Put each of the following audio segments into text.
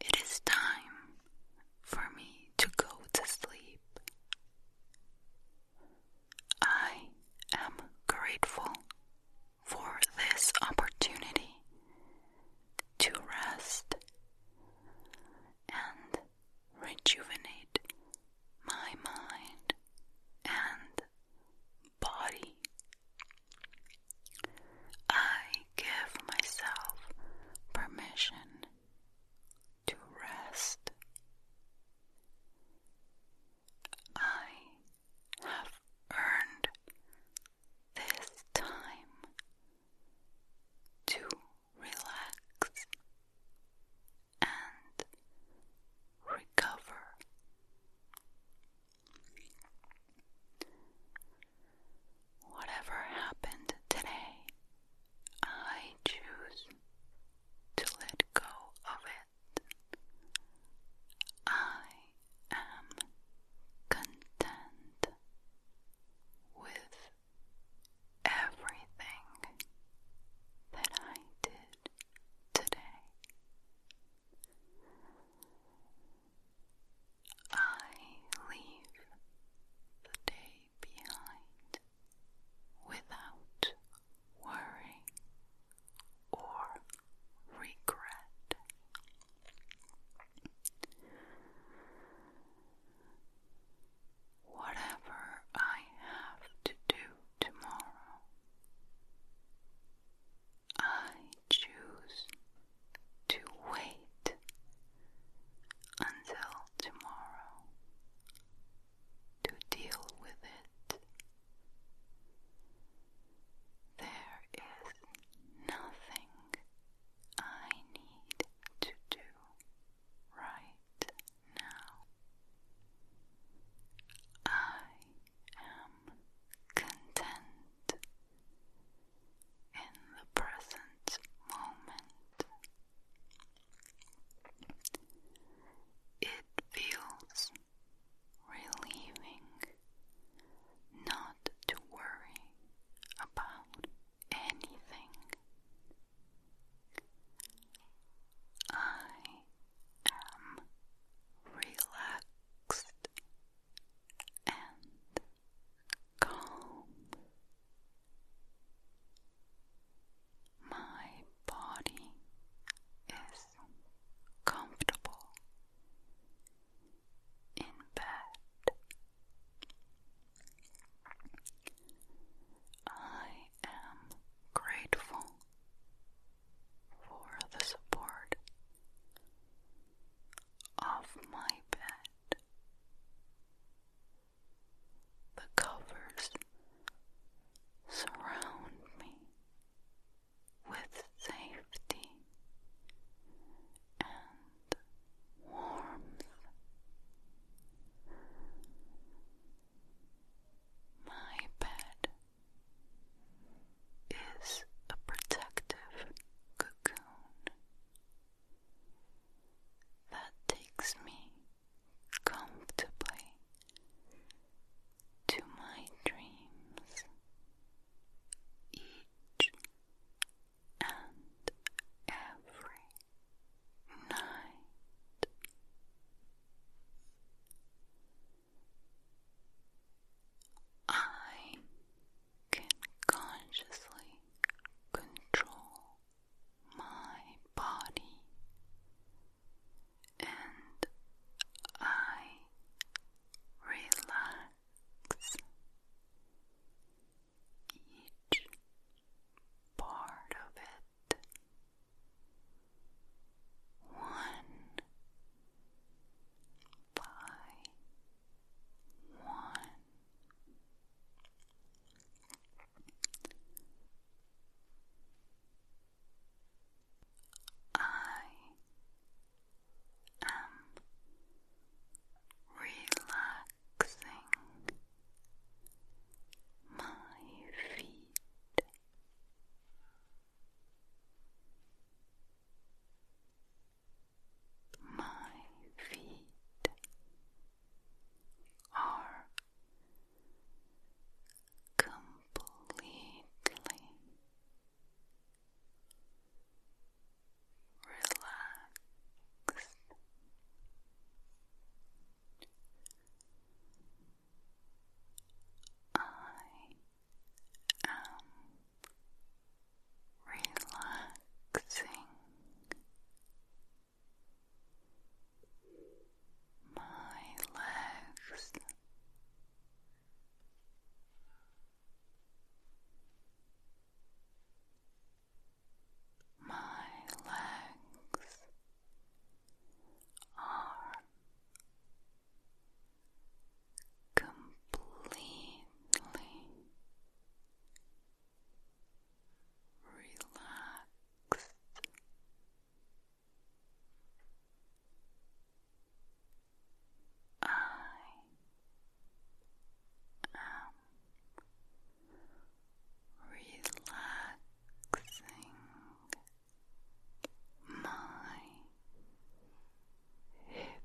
It is time for me to go to sleep. I am grateful for this opportunity to rest and rejuvenate my mind and body. I give myself permission to rest. I have earned this time to relax and recover. Whatever happened today, I choose to let go of it. I am content with everything that I did today. I leave the day behind without worry or regret. Whatever I have to do tomorrow, I choose to wait until tomorrow to deal with it. There is nothing I need to do right now. I am content in the present moment. It feels relieving not to worry about anything. I am relaxed and my body is comfortable in bed I am grateful for the support off my bed. The covers surround me with safety and warmth. My bed is a protective cocoon that takes me comfortably to my dreams each and every night. I can consciously control my body, and I relax each part of it. One by one, I am relaxing my feet. My feet are completely relaxed. I am relaxing my legs. My legs are completely Relax. I am relaxing my hips.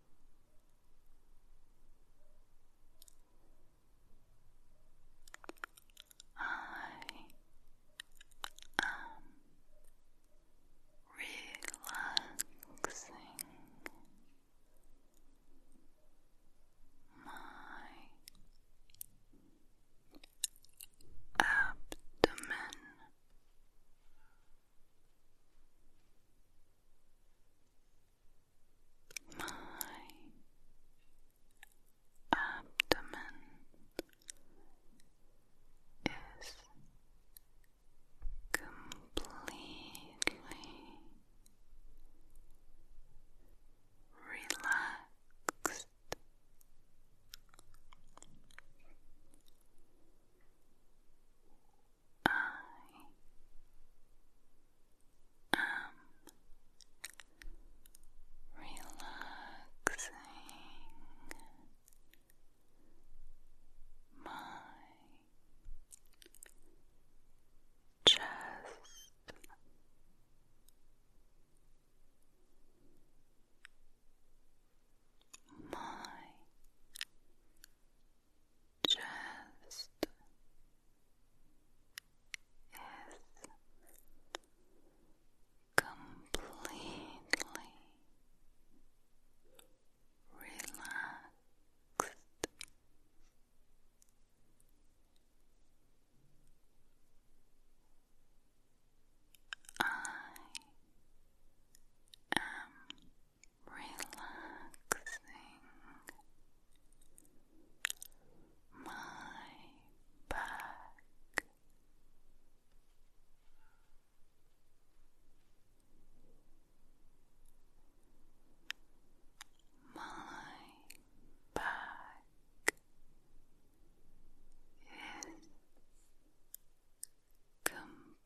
I am relaxing my abdomen my abdomen is completely relaxed. I am relaxing my chest. My just is completely relaxed. I am relaxing my back. My back is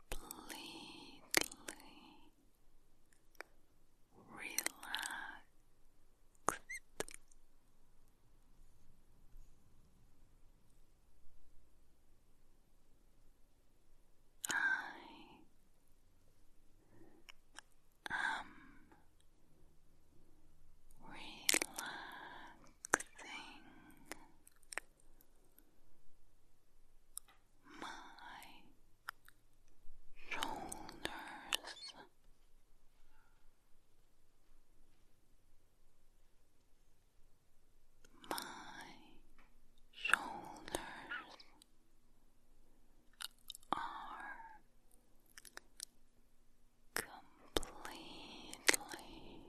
completely relaxed. I am relaxing my shoulders. My shoulders are completely relaxed.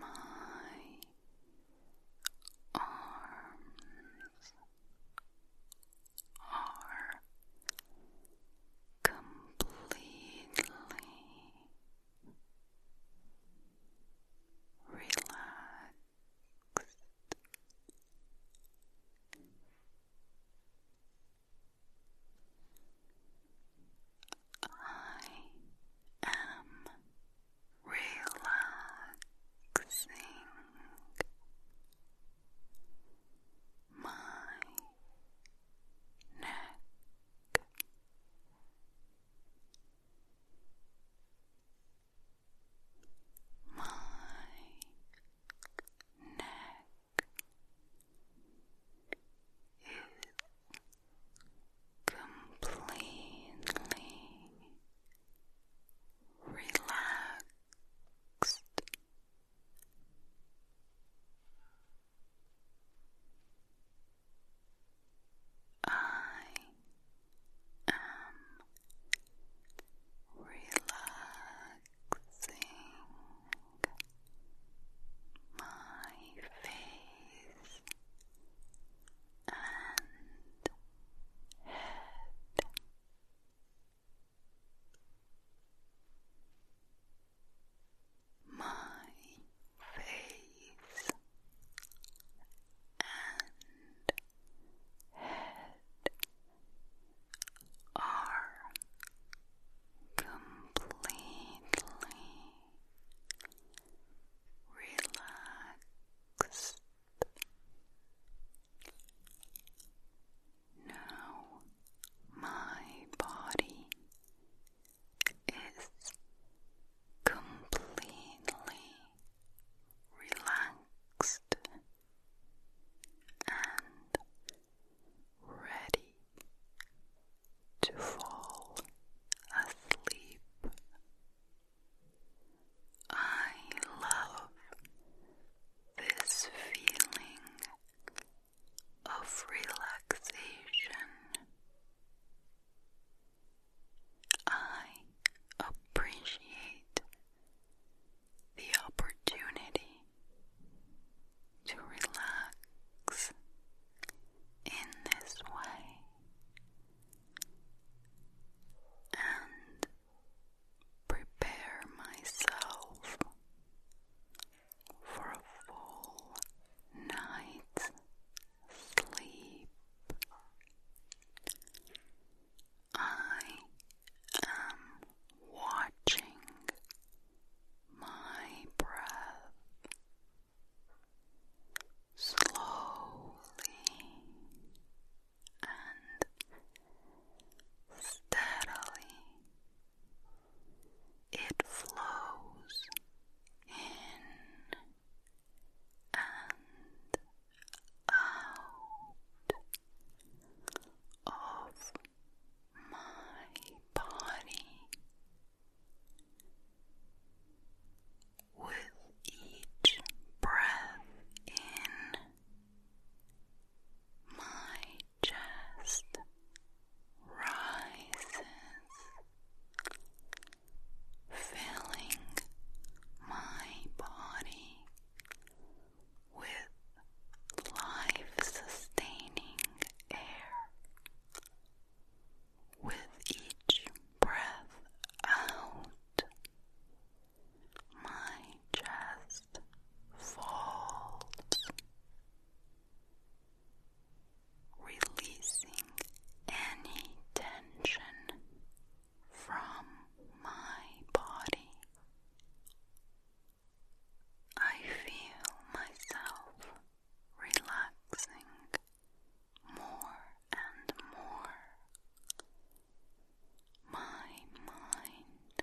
my arms are completely relaxed. I am relaxing my neck. My neck completely relaxed. I am relaxing my face and head. My face and head are completely relaxed. Now my body is completely relaxed and ready to fall asleep. I love this feeling of relaxation. I appreciate the opportunity to relax in this way and prepare myself for a full night's sleep. I am watching my breath slowly and steadily. It flows in and out of my body with each breath in my chest rises filling my body with life sustaining air with each breath out, my chest falls, releasing any tension from my body. I feel myself relaxing more and more. My mind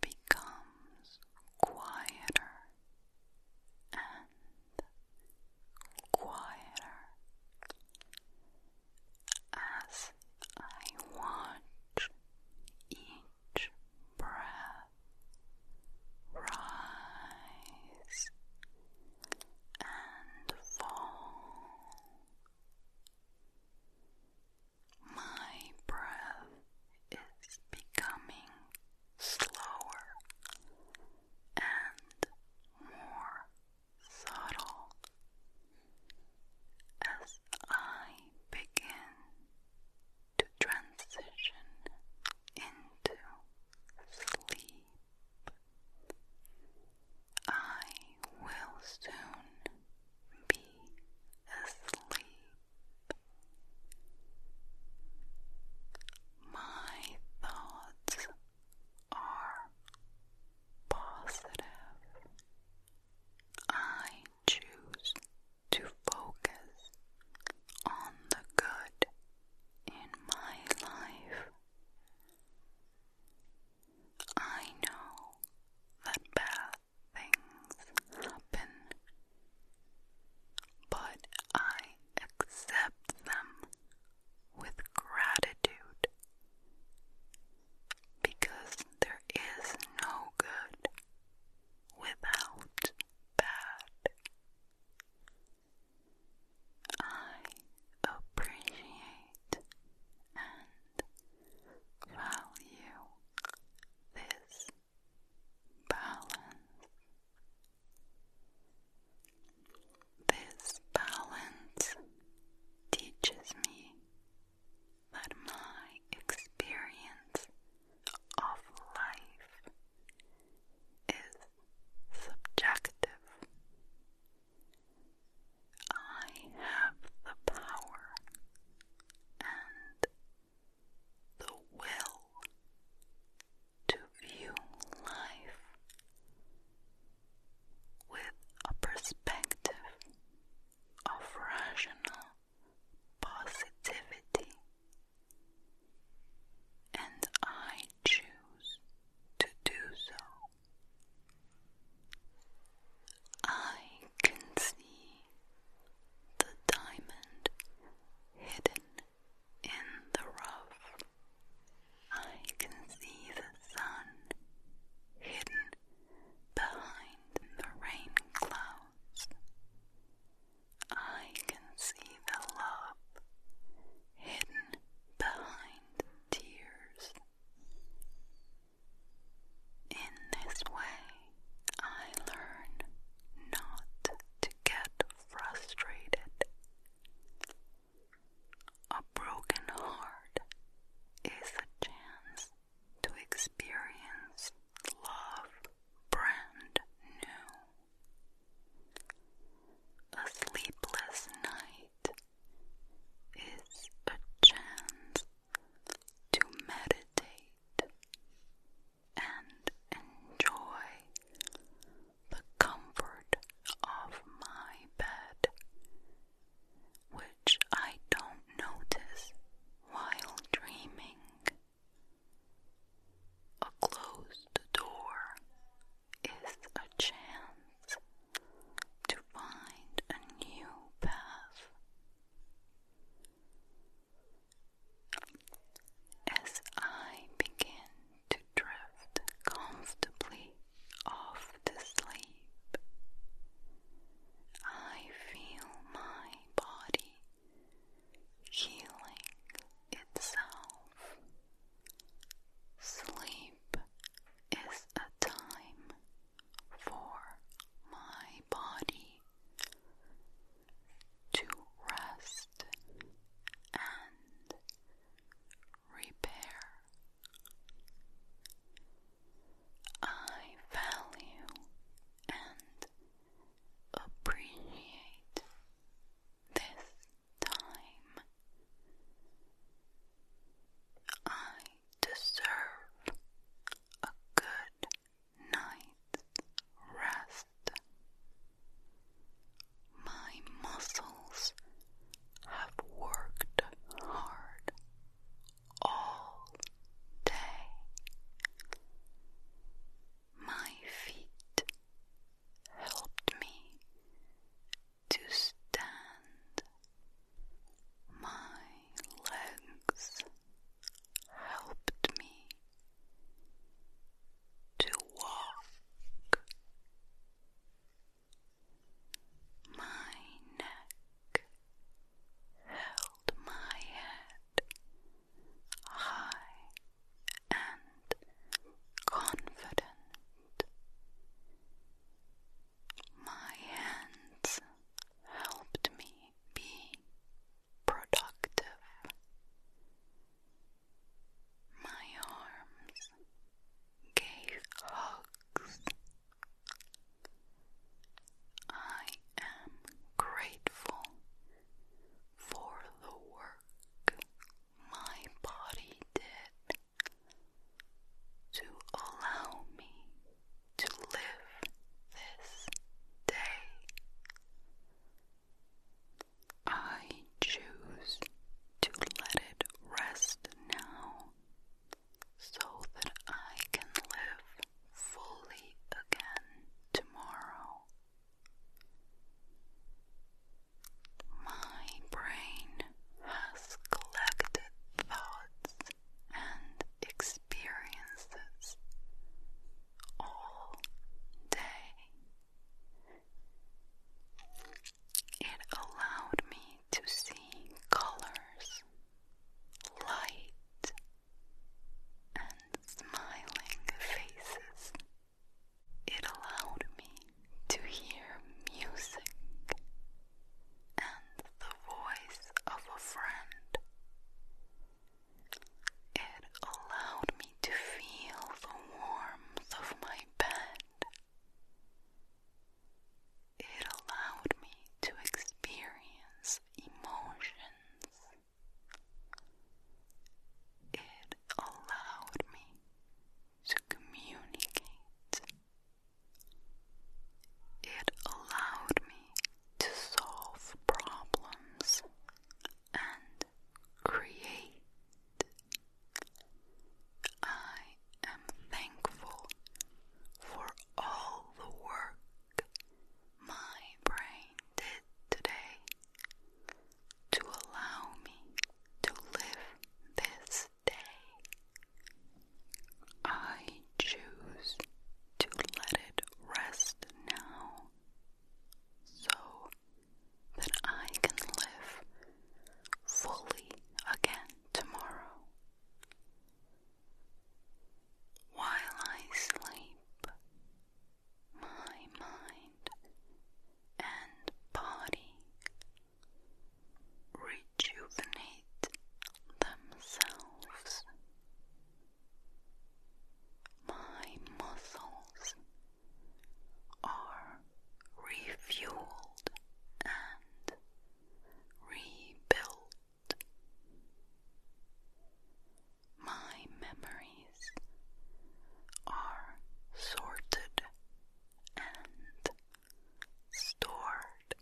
becomes quieter and quieter as I watch each each breath, rise and fall. My breath is becoming slower and more subtle as I begin to transition into sleep. I will soon be asleep. My thoughts are positive. I choose to focus on the good in my life. I know that bad things happen, but I accept them with gratitude because there is no good without bad. I appreciate and value this balance. This balance teaches me that my experience of life is subjective. I have the power and the will to view life with a perspective of rational positivity, and I choose to do so. I can see the diamond hidden in the rough. I can see the sun hidden behind the rain clouds. I can see the love hidden behind tears. In this way, I learn not to get frustrated. A broken heart is a chance to experience love brand new. A sleepless night is a chance to meditate and enjoy the comfort of my bed, which I don't notice while dreaming. A closed door is a chance to find a new path. As I begin to drift comfortably off to sleep, I feel my body healing itself. Sleep is a time for my body to rest and repair. I value and appreciate this time. I deserve a good night's rest. My muscles have worked hard all day. My feet helped me to stand. My legs helped me to walk. My neck held my head high and confident. My hands helped me be productive. My arms gave hugs. I am grateful for the work my body did to allow me to live this day. I choose to let it rest now so that I can live fully again tomorrow. My brain has collected thoughts and experiences all day. It allowed me to see colors, light, and smiling faces. It allowed me to hear music and the voice of a friend. It allowed me to feel the warmth of my bed. It allowed me to experience emotions it allowed me to communicate. It allowed me to solve problems and create. I am thankful for all the work my brain did today to allow me to live this day. I choose to let it rest now so that I can live fully again tomorrow. While I sleep, my mind and body rejuvenate themselves. My muscles are refueled and rebuilt my memories are sorted and stored.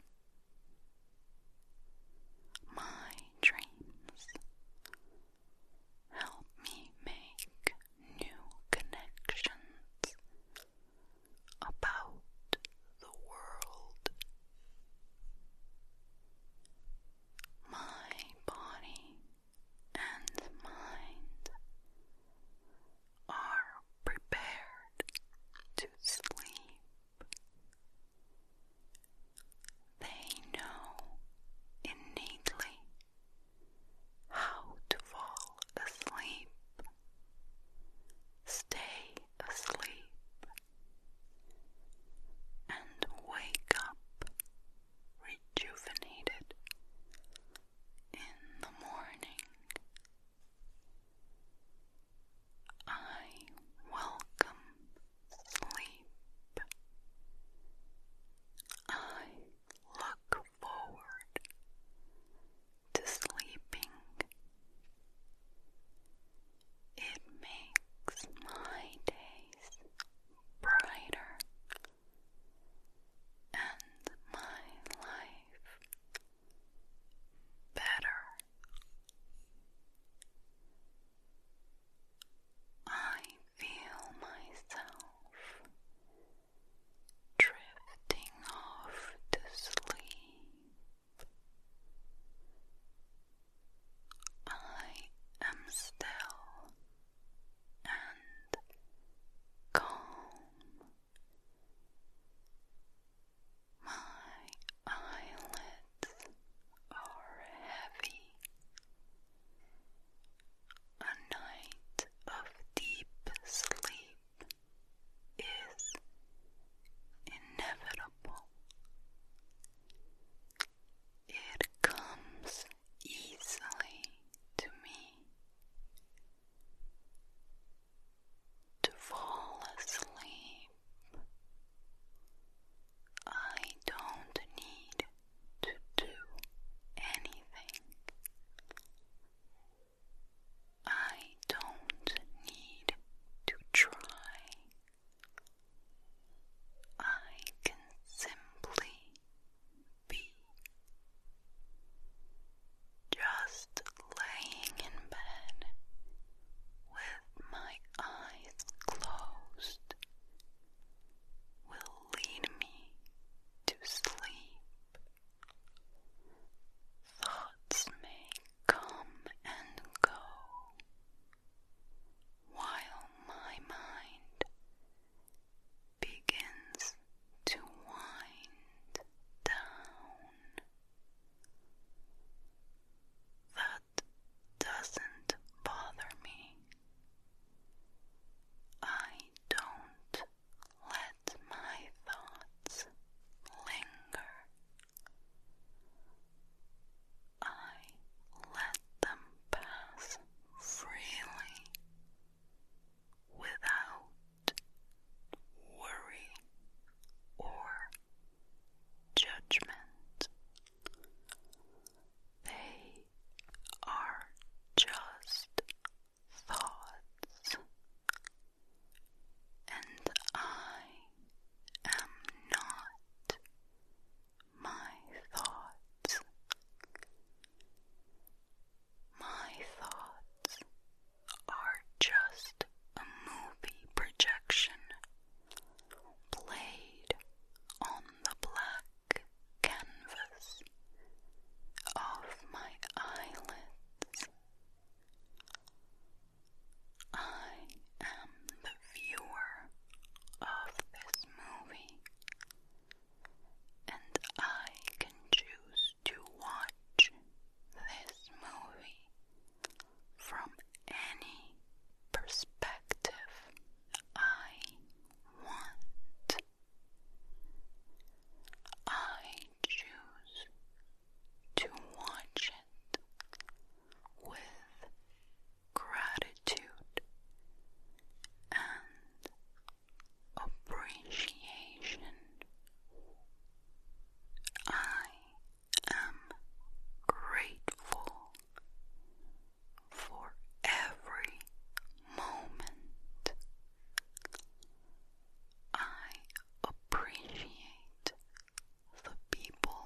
My dreams help me make new connections about the world. My body and mind are prepared to sleep. They know innately how to fall asleep, stay asleep, and wake up rejuvenated in the morning. I welcome sleep. I look forward to sleeping. It makes my days brighter and my life better. I feel myself drifting off to sleep. I am still and calm. My eyelids are heavy. A night of deep sleep is inevitable. It comes easily to me to fall asleep. I don't need to do anything. I don't need to try. I can simply be just laying in bed with my eyes closed will lead me to sleep. Thoughts may come and go while my mind begins to wind down. That doesn't bother me. I don't let my thoughts linger. I let them pass freely without worry or judgment. They are just thoughts, and I am not my thoughts. My thoughts are just a movie projection played on the black canvas of my eyelids. I am the viewer of this movie and I can choose to watch this movie from any perspective I want. I choose to watch it with gratitude and appreciation. I am grateful for every moment. I appreciate the people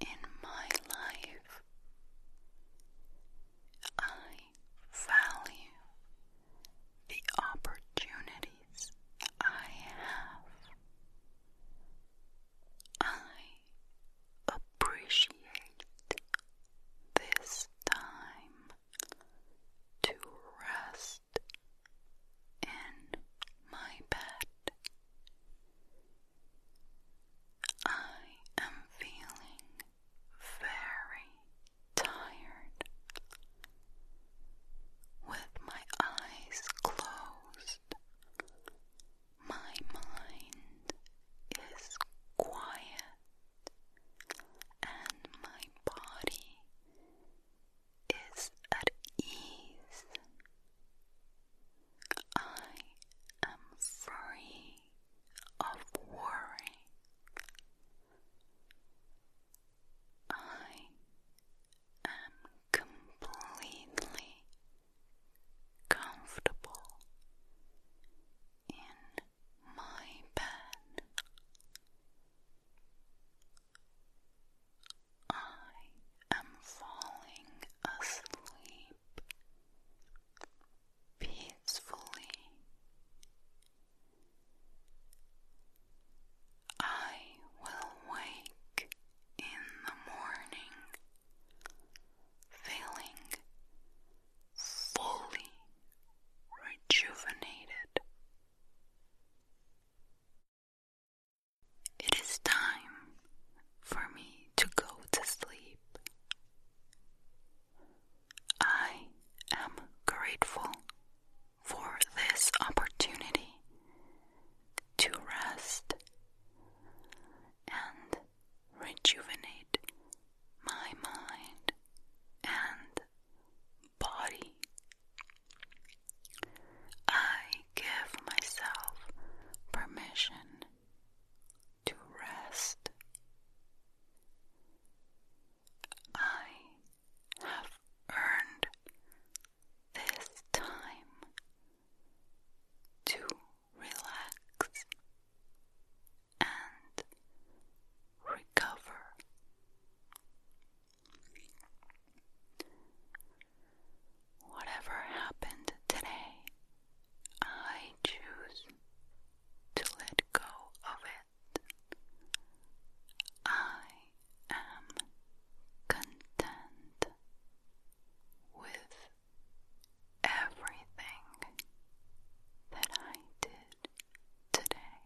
in my life. I value the opportunities I have. I appreciate this time to rest in my bed. I am feeling very tired. With my eyes closed, my mind is quiet and my body is at ease. I am free of worry. I am completely comfortable in my bed. I am falling asleep peacefully. I will wake in the morning feeling fully rejuvenated. It is time for me to go to sleep. I am grateful for this opportunity to rest and rejuvenate my mind and body. I give myself permission to rest. I have earned this time to relax and recover. Whatever happened today, I choose to let go of it. I am content with everything that I did today.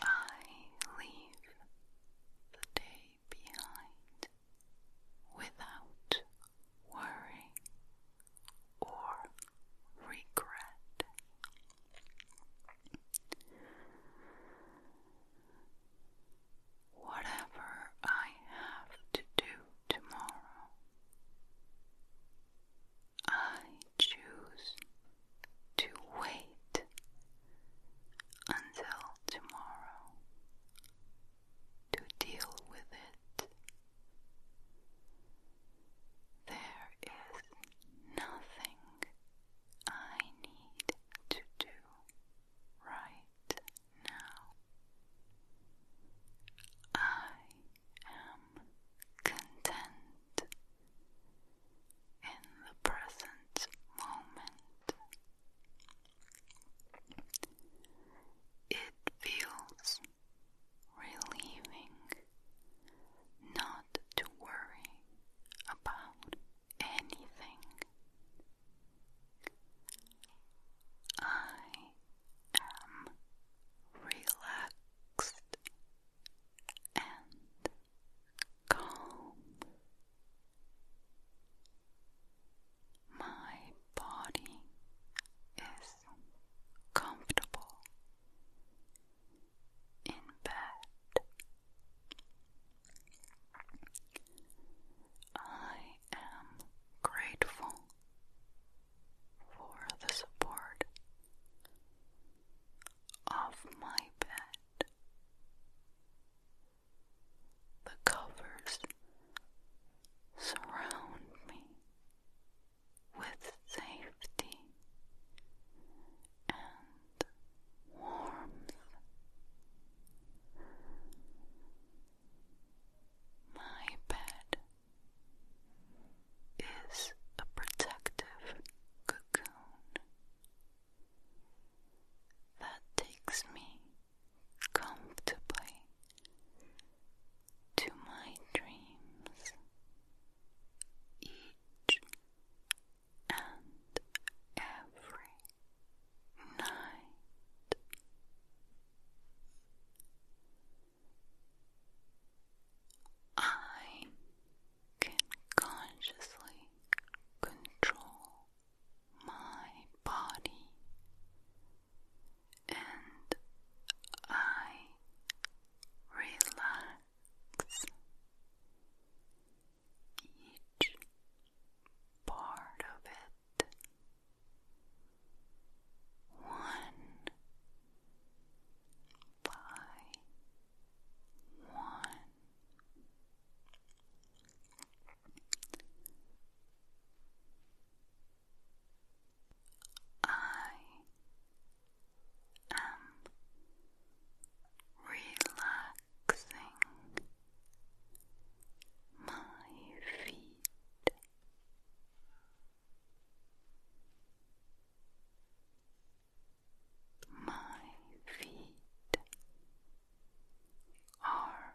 I leave the day behind without worry or regret. Whatever I have to do tomorrow, I choose to wait until tomorrow to deal with it. There is nothing I need to do right now. I am content in the present moment. It feels relieving not to worry about anything. I am relaxed and calm. My body is comfortable in bed. I am grateful for the support of my bed. The covers surround me with safety and warmth. My bed is a protective cocoon that takes me comfortably to my dreams each and every night. I can consciously control my body and I relax each part of it. One by one. I am relaxing my feet. My feet are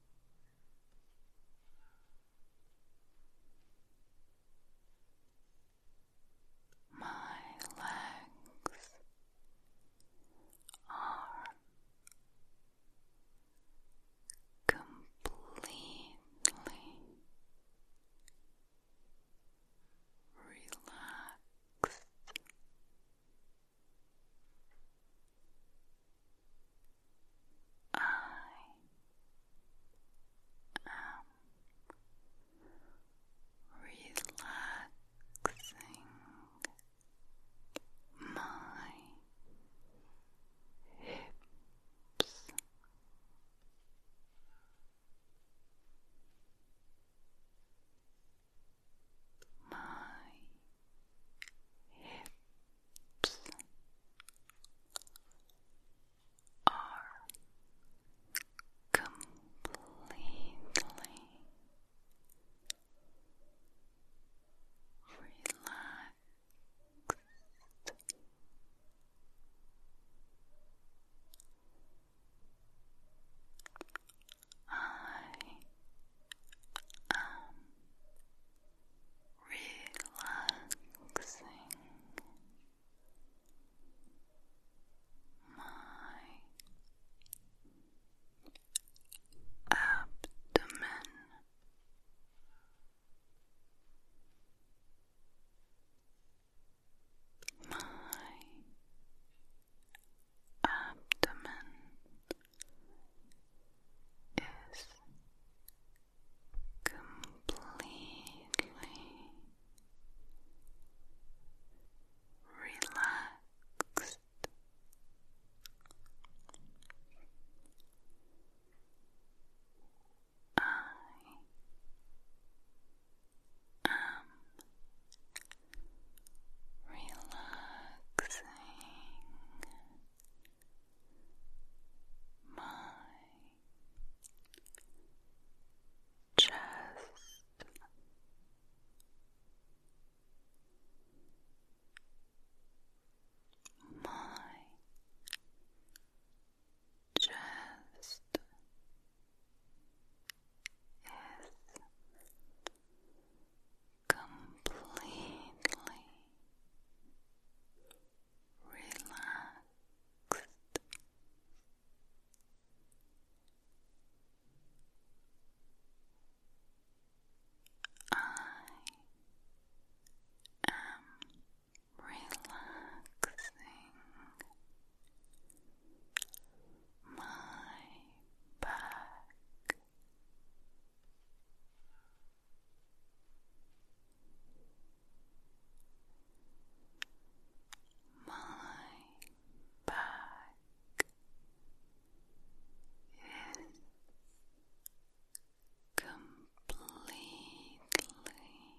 My legs are completely relaxed. I am relaxing my hips my hips are completely relaxed. I am relaxing my abdomen. My abdomen is completely relaxed. I am relaxing my chest. My chest is completely relaxed. I am relaxing my back my back is completely relaxed.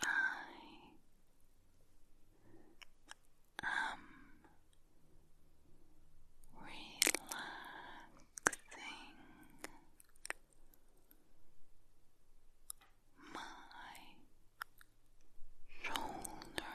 I am relaxing my shoulders.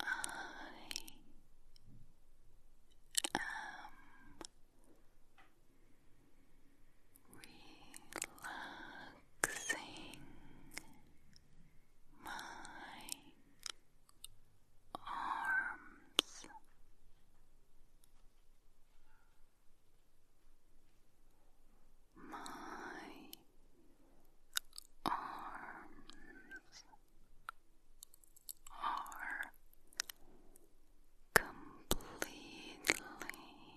I am relaxing my arms. My arms are completely relaxed.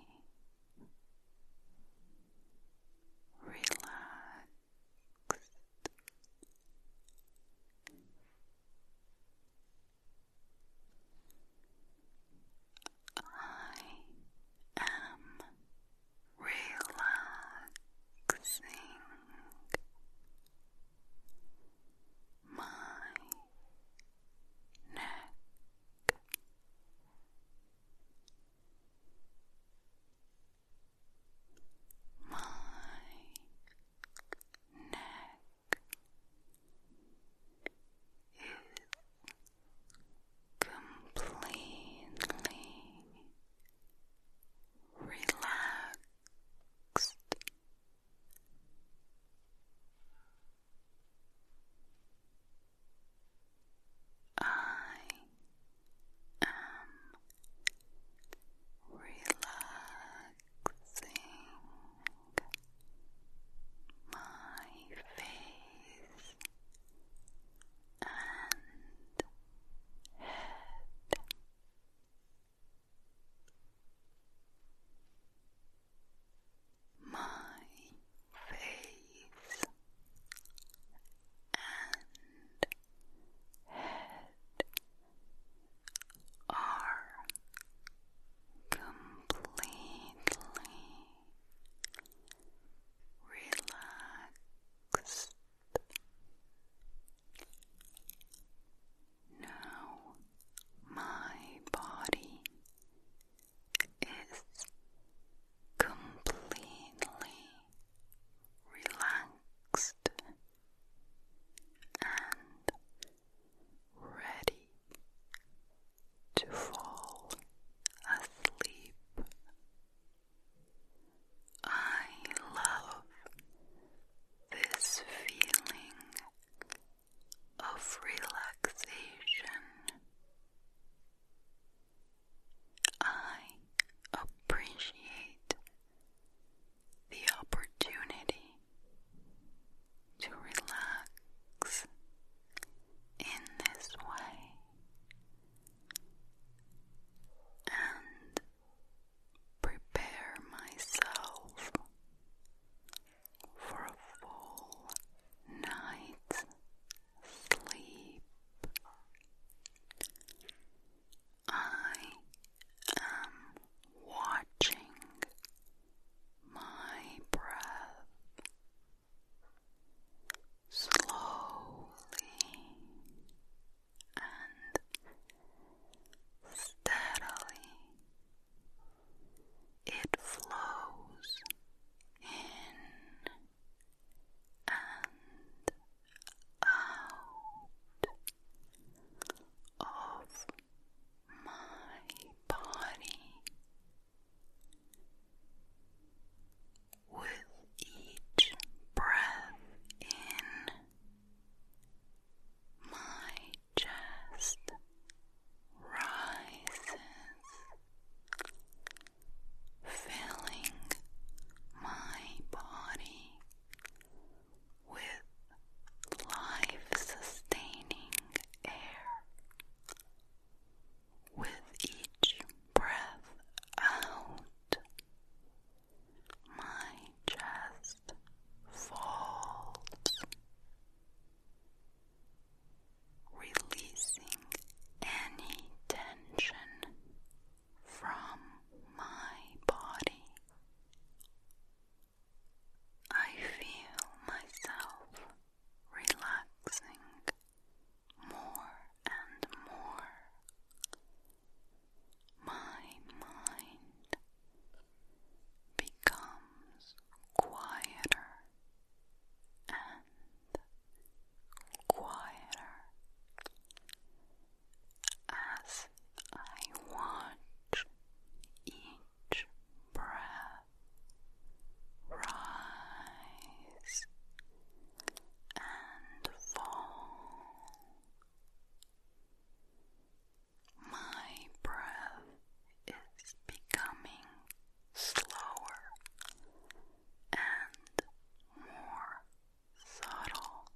I am relaxing my neck. My neck is completely relaxed. I am relaxing my face and head. My face and head are completely relaxed. Now my body is completely relaxed and ready to fall asleep. I love this feeling of relaxation. I appreciate the opportunity to relax in this way and prepare myself for a full night's sleep. I am watching my breath slowly and steadily it flows in and out of my body with each breath in, my chest rises, filling my body with life sustaining air. With each breath out, my chest falls, releasing any tension from my body. I feel myself relaxing more and more my mind becomes quieter and quieter as I watch each breath rise and fall. My breath is becoming slower and more subtle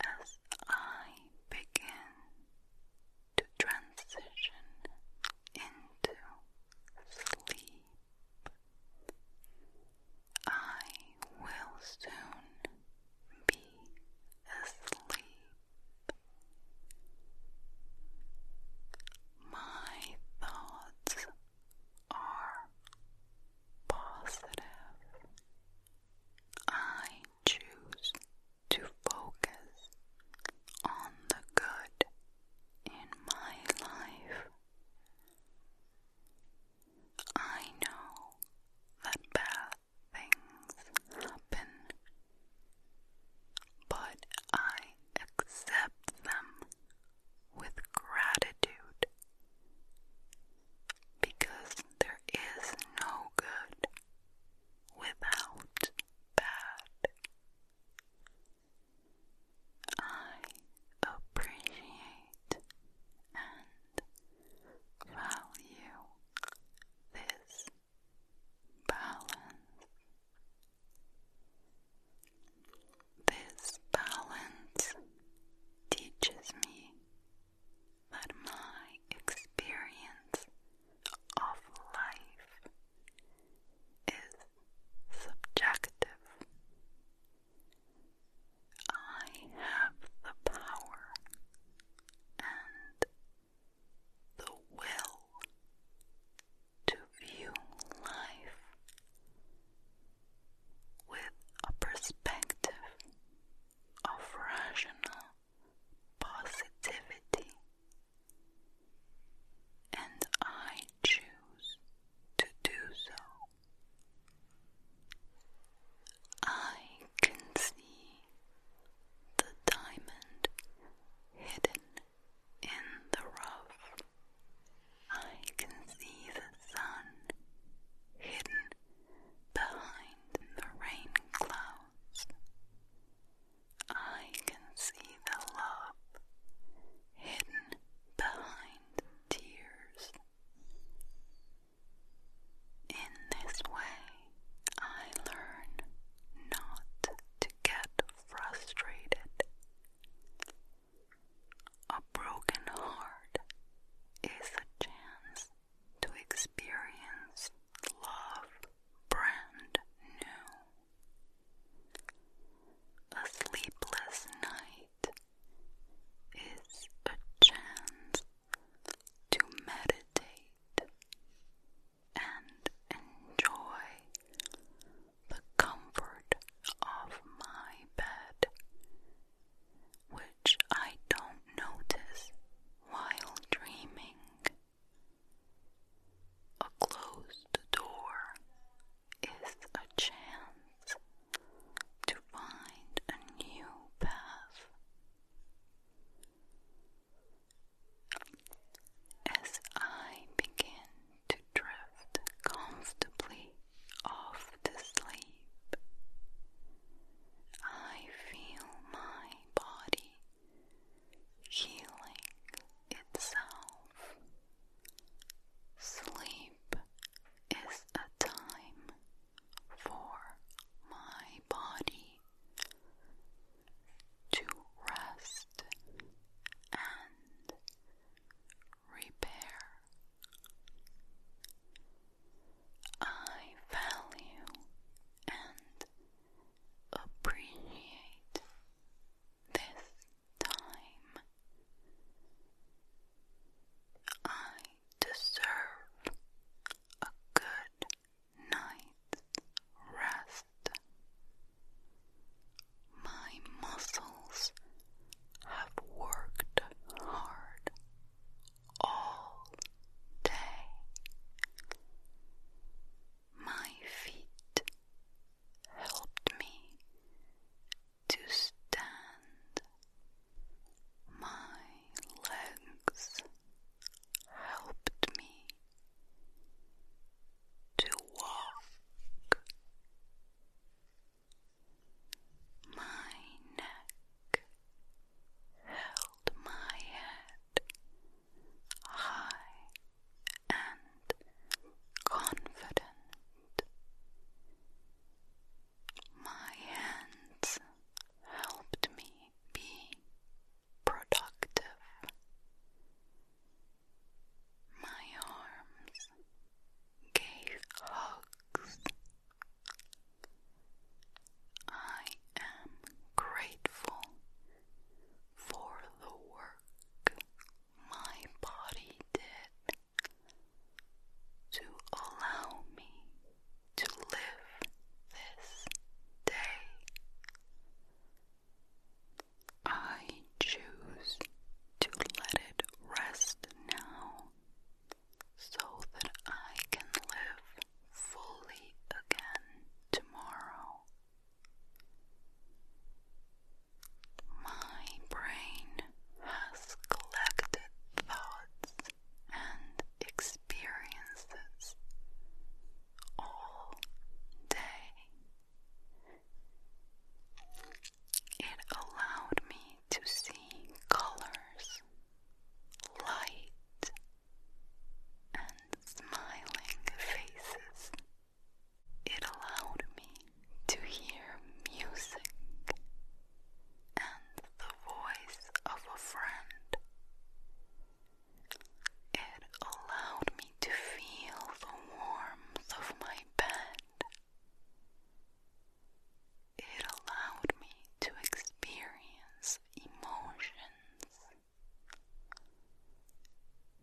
as I begin to transition into sleep. I will soon be asleep. My thoughts are positive. I choose to focus on the good in my life. I know that bad things happen, but I accept them with gratitude because there is no good without bad. I appreciate and value this balance. This balance teaches me that my experience of life is subjective I have the power and the will to view life with a perspective of rational positivity, and I choose to do so. I can see the diamond hidden in the rough. I can see the sun hidden behind the rain clouds. I can see the love hidden behind tears. In this way, I learn not to get frustrated. A broken heart is a chance to experience love brand new. A sleepless night is a chance to meditate and enjoy the comfort of my bed, which I don't notice while dreaming. A closed door is a chance to find a new path. As I begin to drift comfortably off to sleep, I feel my body healing itself. Sleep is a time for my body to rest and repair. I value and appreciate this time. I deserve a good night's rest. My muscles have worked hard all day. My feet helped me to stand. My legs helped me to walk. My neck held my head high and confident. My hands helped me be productive. My arms gave hugs. I am grateful for the work my body did to allow me to live this day. I choose to let it rest now so that I can live fully again tomorrow. My brain has collected thoughts and experiences all day. It allowed me to see colors, light, and smiling faces. It allowed me to hear music and the voice of a friend. It allowed me to feel the warmth of my bed. It allowed me to experience emotions.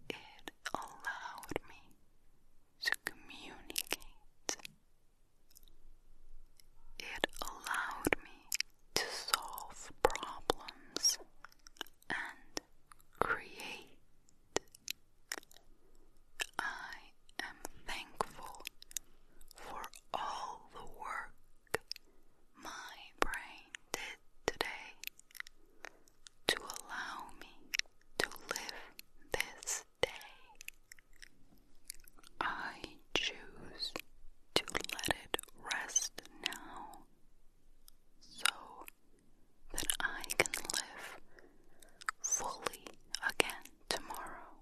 It allowed me to communicate it allowed me to solve problems and create. I am thankful for all the work my brain did today to allow me to live this Today, I choose to let it rest now so that I can live fully again tomorrow.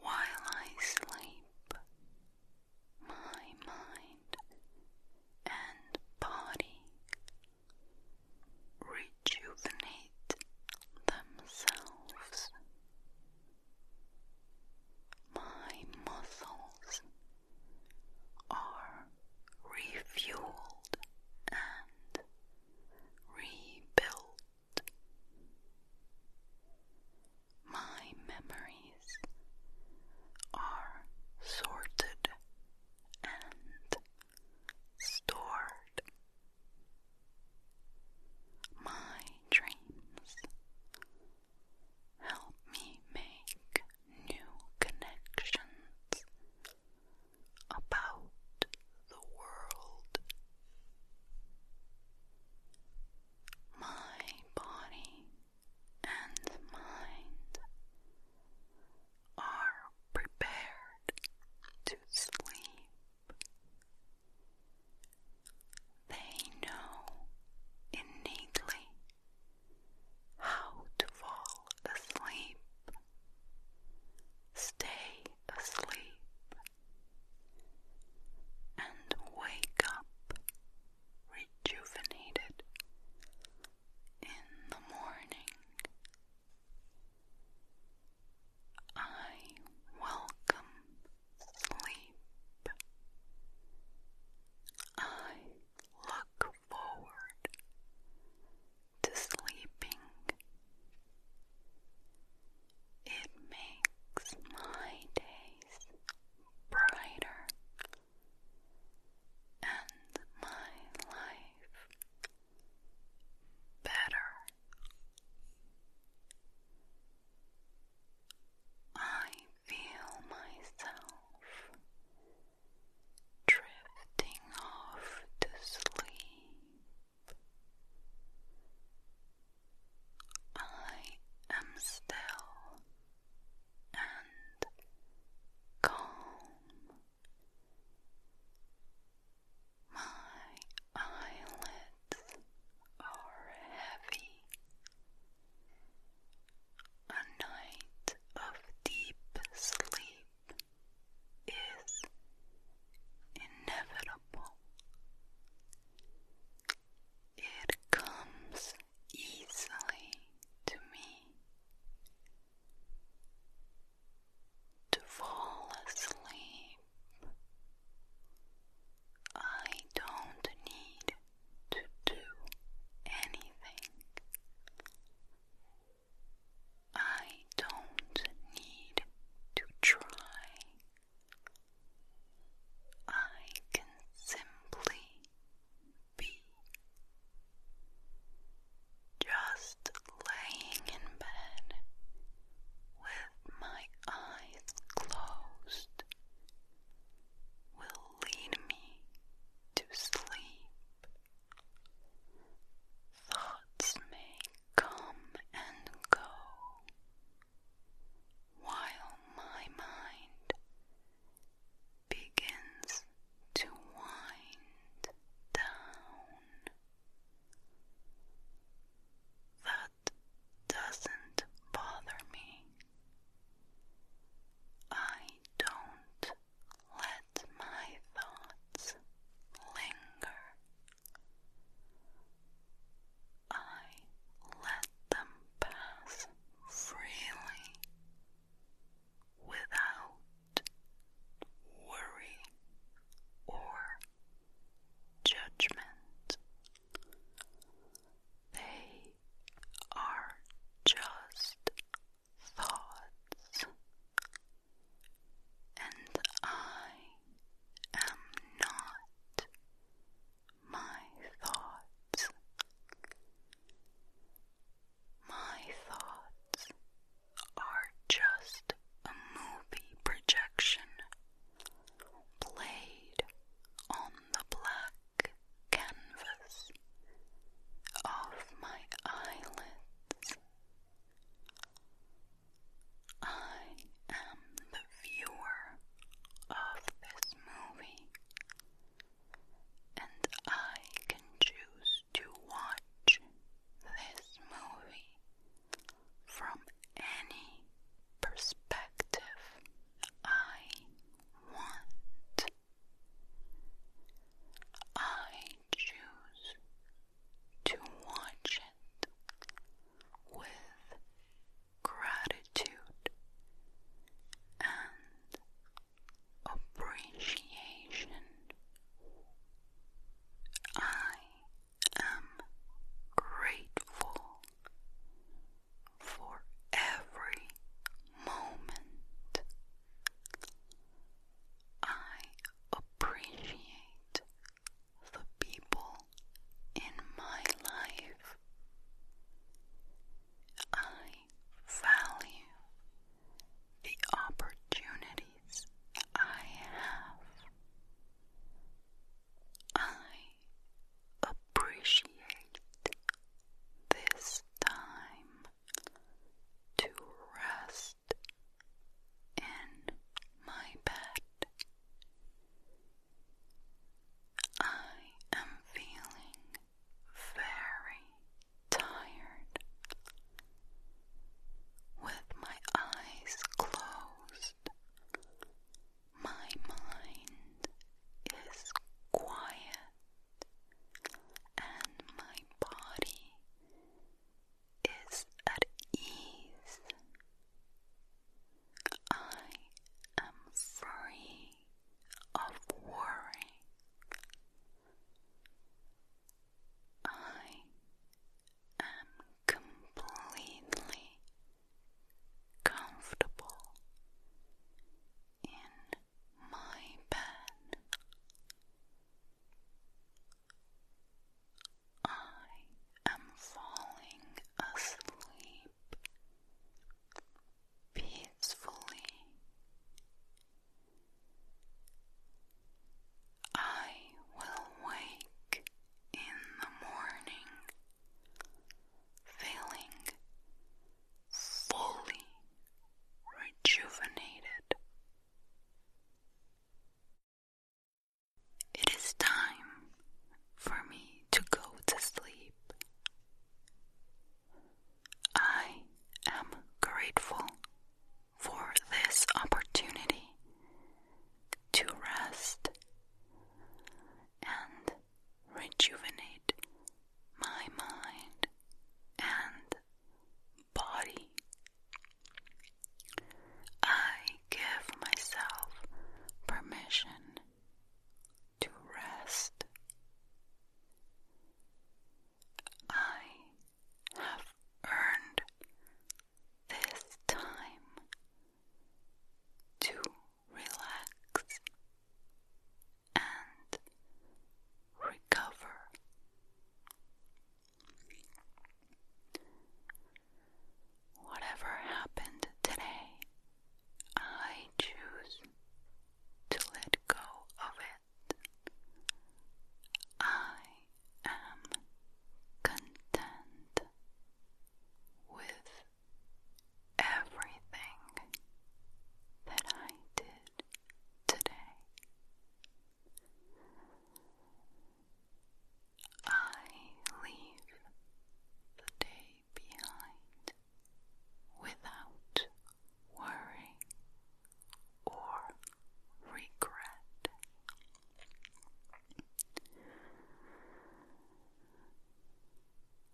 While I sleep, my mind and body rejuvenate themselves. My muscles are refueled and rebuilt. My memories are sorted and stored. My dreams help me make new connections about the world. My body and mind are prepared to sleep. They know innately how to fall asleep, stay asleep, and wake up rejuvenated in the morning. I welcome sleep. I look forward to sleeping. It makes my days brighter and my life better. I feel myself drifting off to sleep. I am still and calm my eyelids are heavy. A night of deep sleep is inevitable. It comes easily to me to fall asleep. I don't need to do anything. I don't need to try. I can simply be just laying in bed with my eyes closed will lead me to sleep. Thoughts may come and go while my mind begins to wind down. That doesn't bother me. I don't let my thoughts linger. I let them pass freely without worry or judgment. They are just thoughts, and I am not my thoughts. My thoughts are just a movie projection played on the black canvas of my eyelids. I am the viewer of this movie, and I can choose to watch this movie from any perspective I want. I choose to watch it with gratitude and appreciation. I am grateful for every moment. I appreciate the people in my life. I value the opportunities I have. I appreciate this time to rest in my bed. I am feeling very tired with my eyes closed. My mind is quiet and my body is at ease. I am free of worry. I am completely comfortable in my bed. I am falling asleep peacefully. I will wake in the morning, feeling fully rejuvenated. It is time for me to go to sleep. I am grateful for this opportunity to rest and rejuvenate my mind and body. I give myself permission to rest. I have earned this time to relax and recover. Whatever happened today, I choose to let go of it. I am content with everything that I did today. I leave the day behind without worry or regret.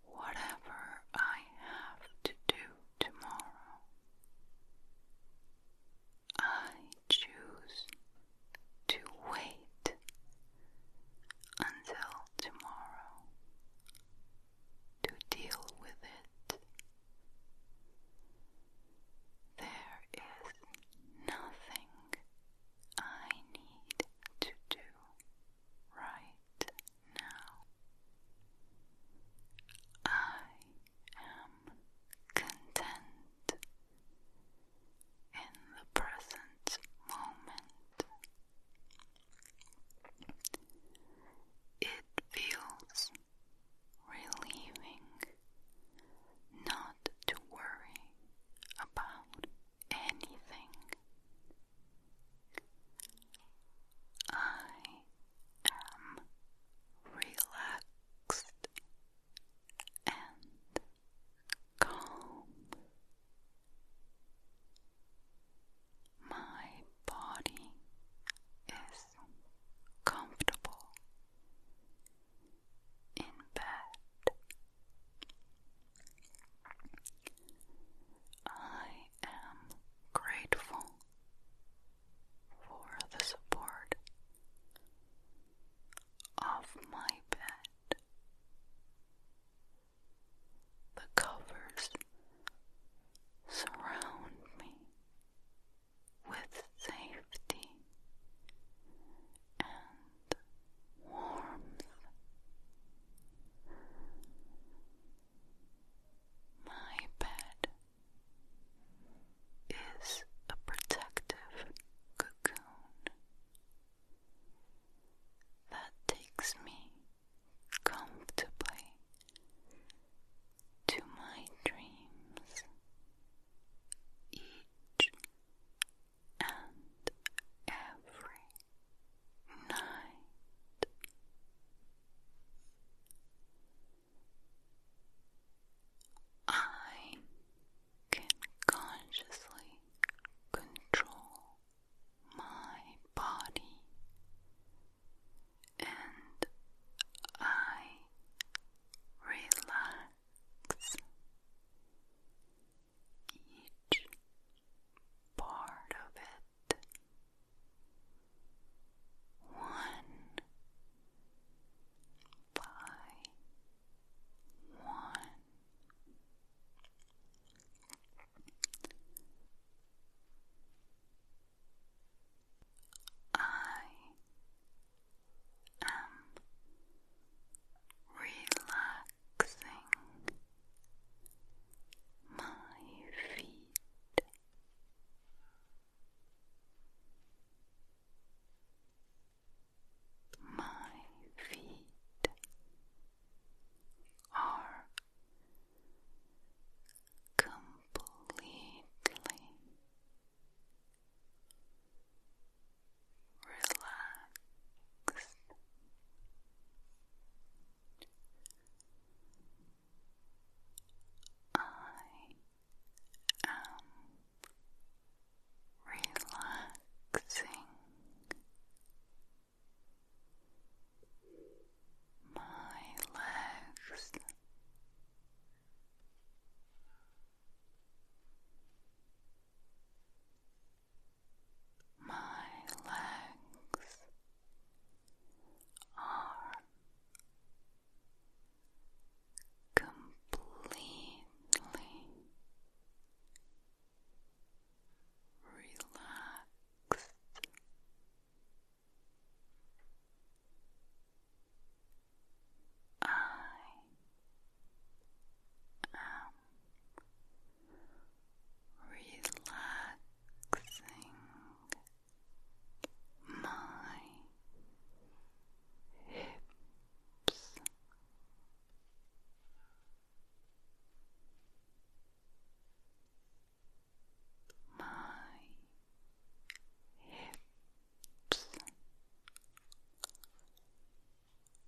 Whatever I have to do tomorrow, I choose to wait until tomorrow to deal with it. There is nothing I need to do right now. I am content in the present moment. It feels relieving not to worry about anything. I am relaxed and calm. My body is comfortable in bed. I am grateful for the support of my bed. The covers surround me with safety and warmth. My bed is a protective cocoon that takes me comfortably to my dreams each and every night. I can consciously control my body and I relax each part of it. One by one. I am relaxed relaxing my feet. My feet are completely relax. I am relaxing my legs. My legs are completely relaxed. I am relaxing my hips. My hips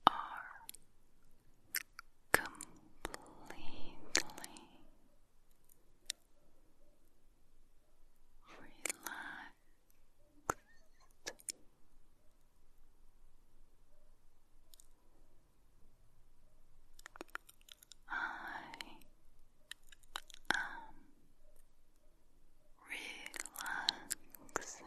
are completely relaxed. I am relaxing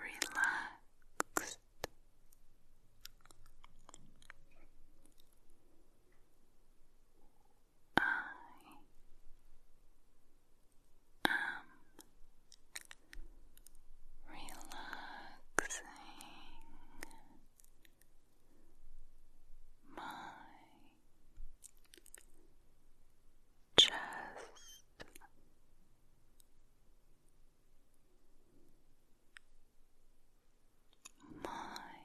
Relax. I am relaxing my just My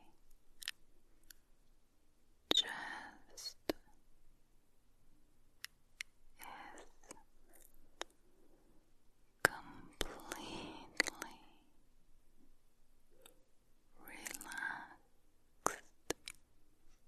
chest is completely relaxed.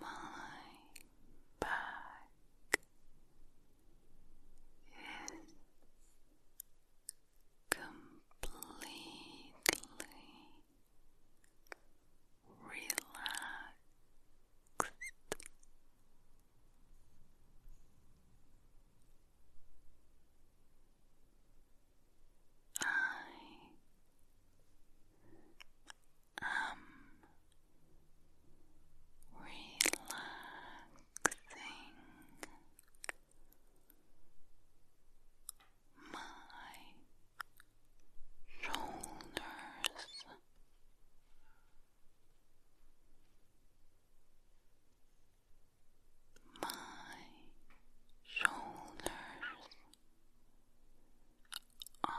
My back is completely relaxed. I am relaxing my shoulders. My shoulders are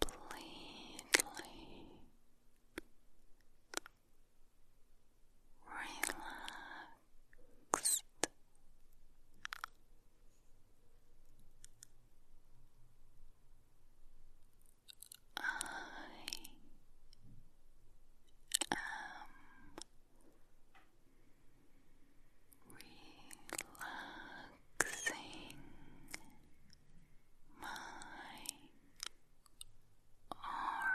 completely relaxed. I am relaxing my arms. My arms are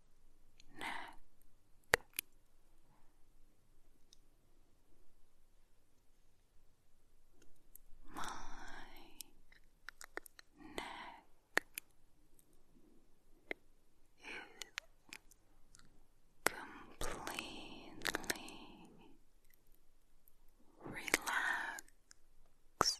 neck, my neck is completely relaxed.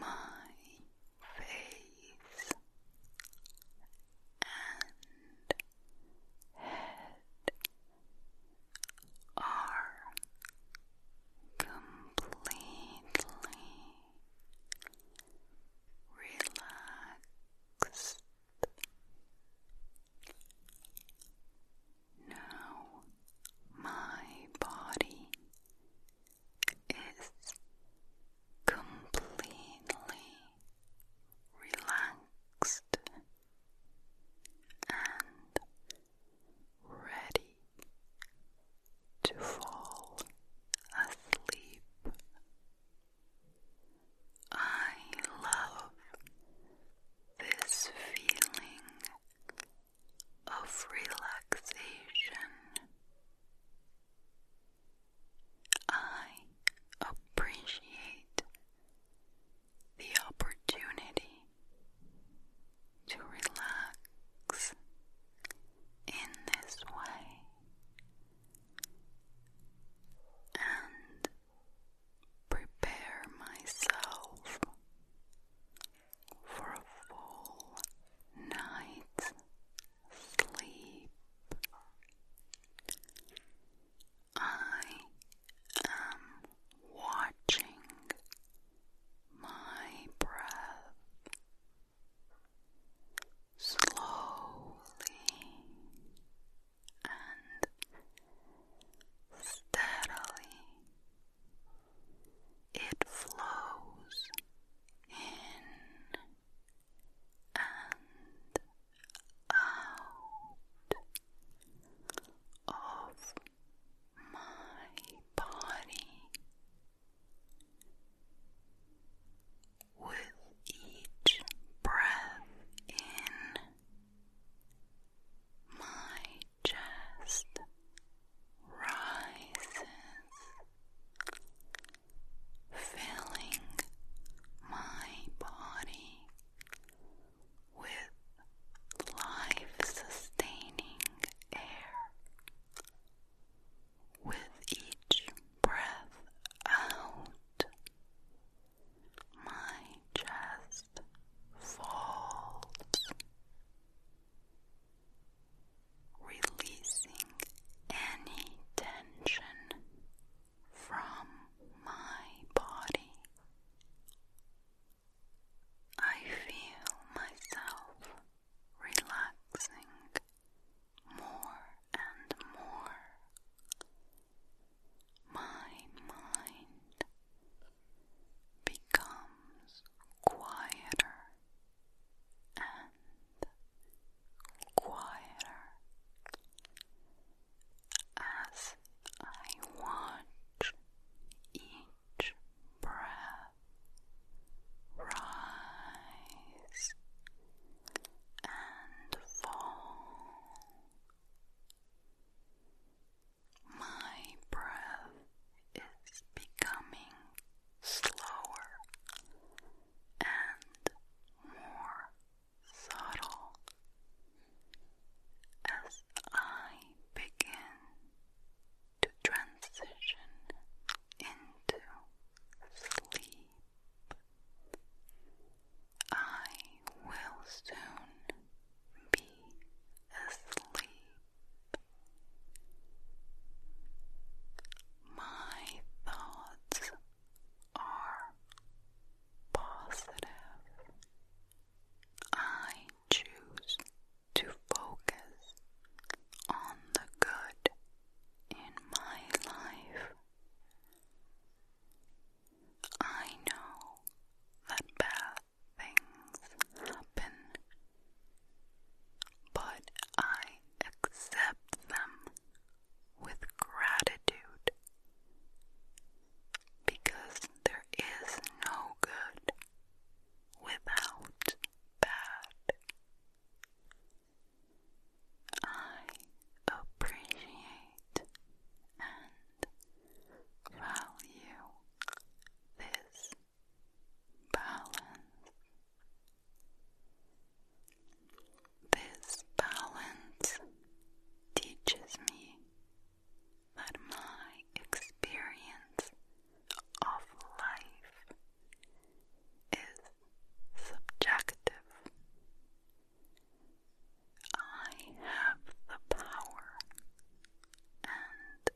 my face and head are completely relaxed. Now my body is completely relaxed and ready to fall asleep. I love this feeling of relaxation. I appreciate the opportunity to relax in this way and prepare myself for a full night's sleep. I am watching my breath slowly and steadily it flows in and out of my body with each breath in. My chest rises, filling my body with life sustaining air. With each breath out, my chest falls releasing any tension from my body. I feel myself relaxing more and more. My mind becomes quieter and quieter as I watch each breath rise and fall. My breath is becoming slower and more subtle as I begin to transition into sleep. I will soon be asleep. My thoughts are positive. I choose to focus on the good in my life. I know that bad things happen but I accept them with gratitude because there is no good without bad. I appreciate and value this balance. This balance teaches me that my experience of life is subjective. I have the power and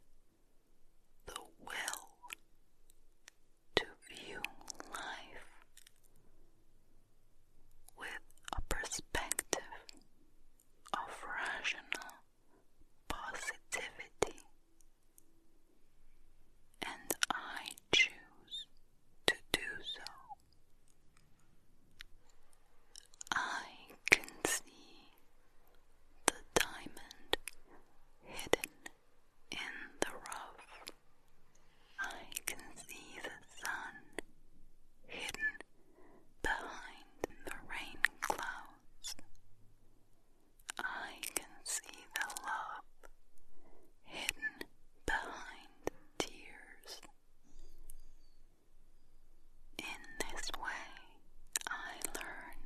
the will to view life with a perspective of rational positivity, and I choose to do so. I can see the diamond hidden in the rough. I can see the sun hidden behind the rain clouds. I can see the love hidden behind tears. In this way, I learn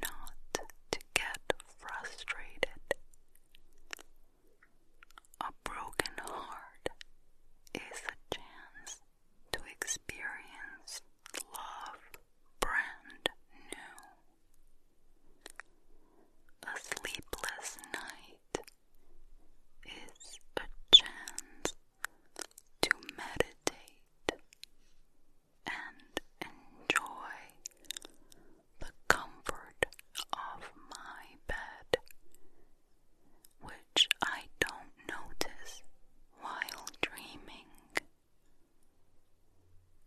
not to get frustrated. A broken heart is a chance to experience love brand new. A sleepless night is a chance to meditate and enjoy the comfort of my bed, which I don't notice while dreaming.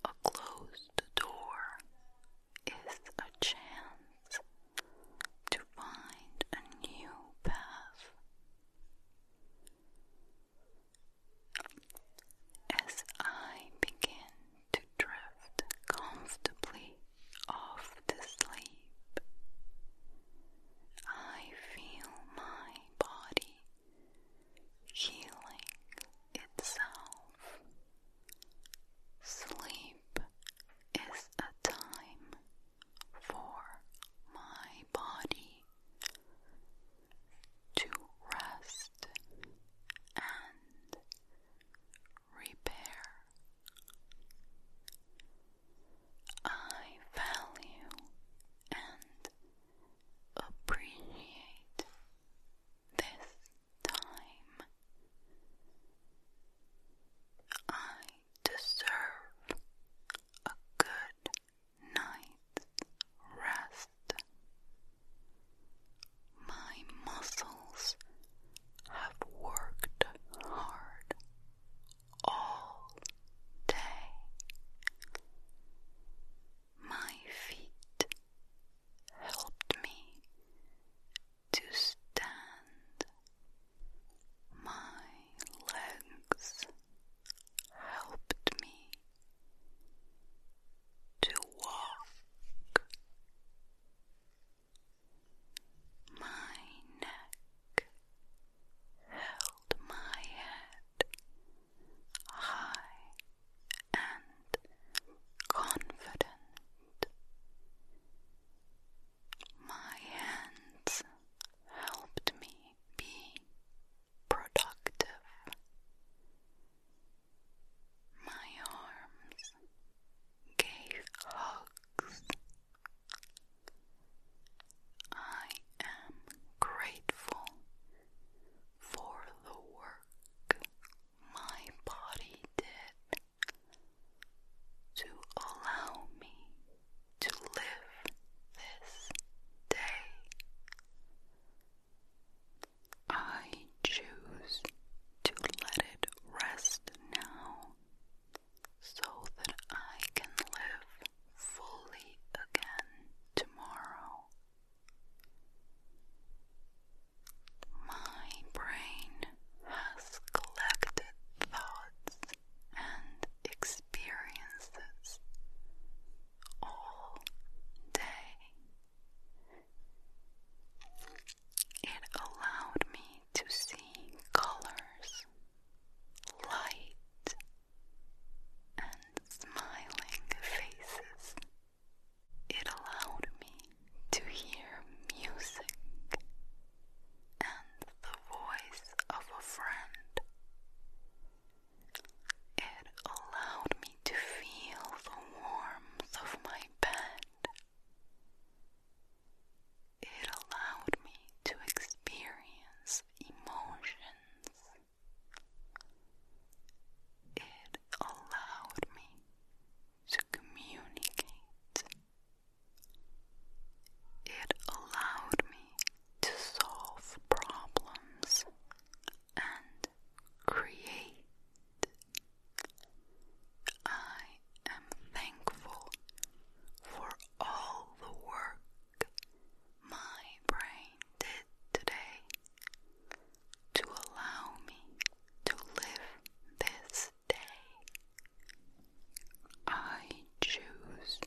A closed door is a chance to find a new path. As I begin to drift comfortably off to sleep, I feel my body healing itself. Sleep is a time for my body to rest and repair. I value and appreciate this time. I deserve a good night's rest. My muscles have worked hard all day. My feet helped me to stand. My legs helped me to walk my neck held my head high and confident my hands helped me be productive my arms gave hugs. I am grateful for the work my body did to allow me to live this day. I choose to let it rest now so that I can live fully again tomorrow. My brain has collected thoughts and experiences all day it allowed me to see colors, light, and smiling faces. It allowed me to hear music and the voice of a friend. It allowed me to feel the warmth of my bed. It allowed me to experience emotions. It allowed me to communicate. It allowed me to solve problems and create. I am thankful for all the work my brain did today to allow me to live this day. I choose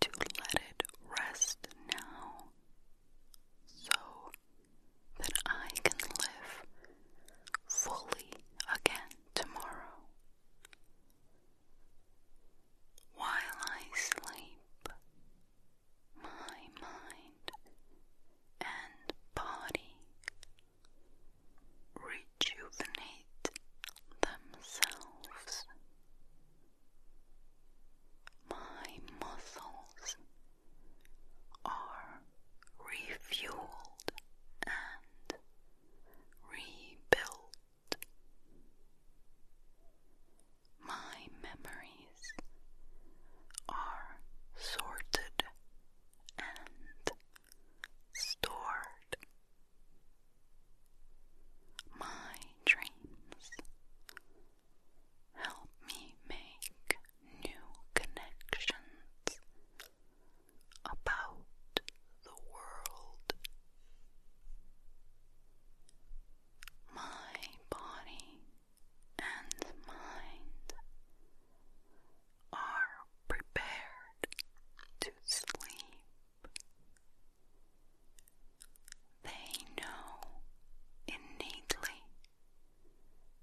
to let it rest now. So that I can live fully again tomorrow. While I sleep, my mind and body rejuvenate themselves. My muscles are refueled and rebuilt. My memories are sorted and stored. My dreams Help me make new connections about the world. My body and mind are prepared to sleep. They know innately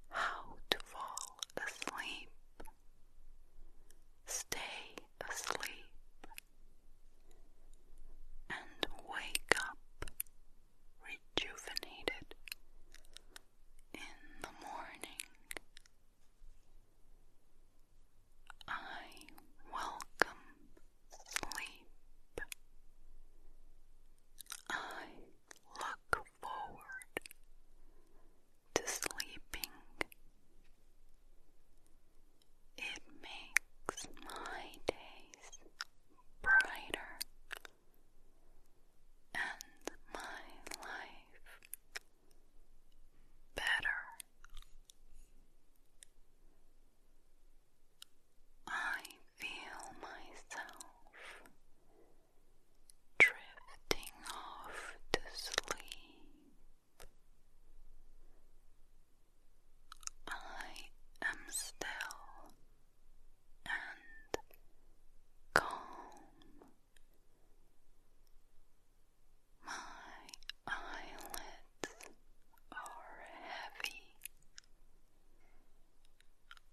how to fall asleep. Stay asleep and wake up rejuvenated in the morning. I welcome sleep. I look forward to sleeping. It makes my days brighter and my life better. I feel myself drifting off to sleep. I am still and calm. My eyelids are heavy.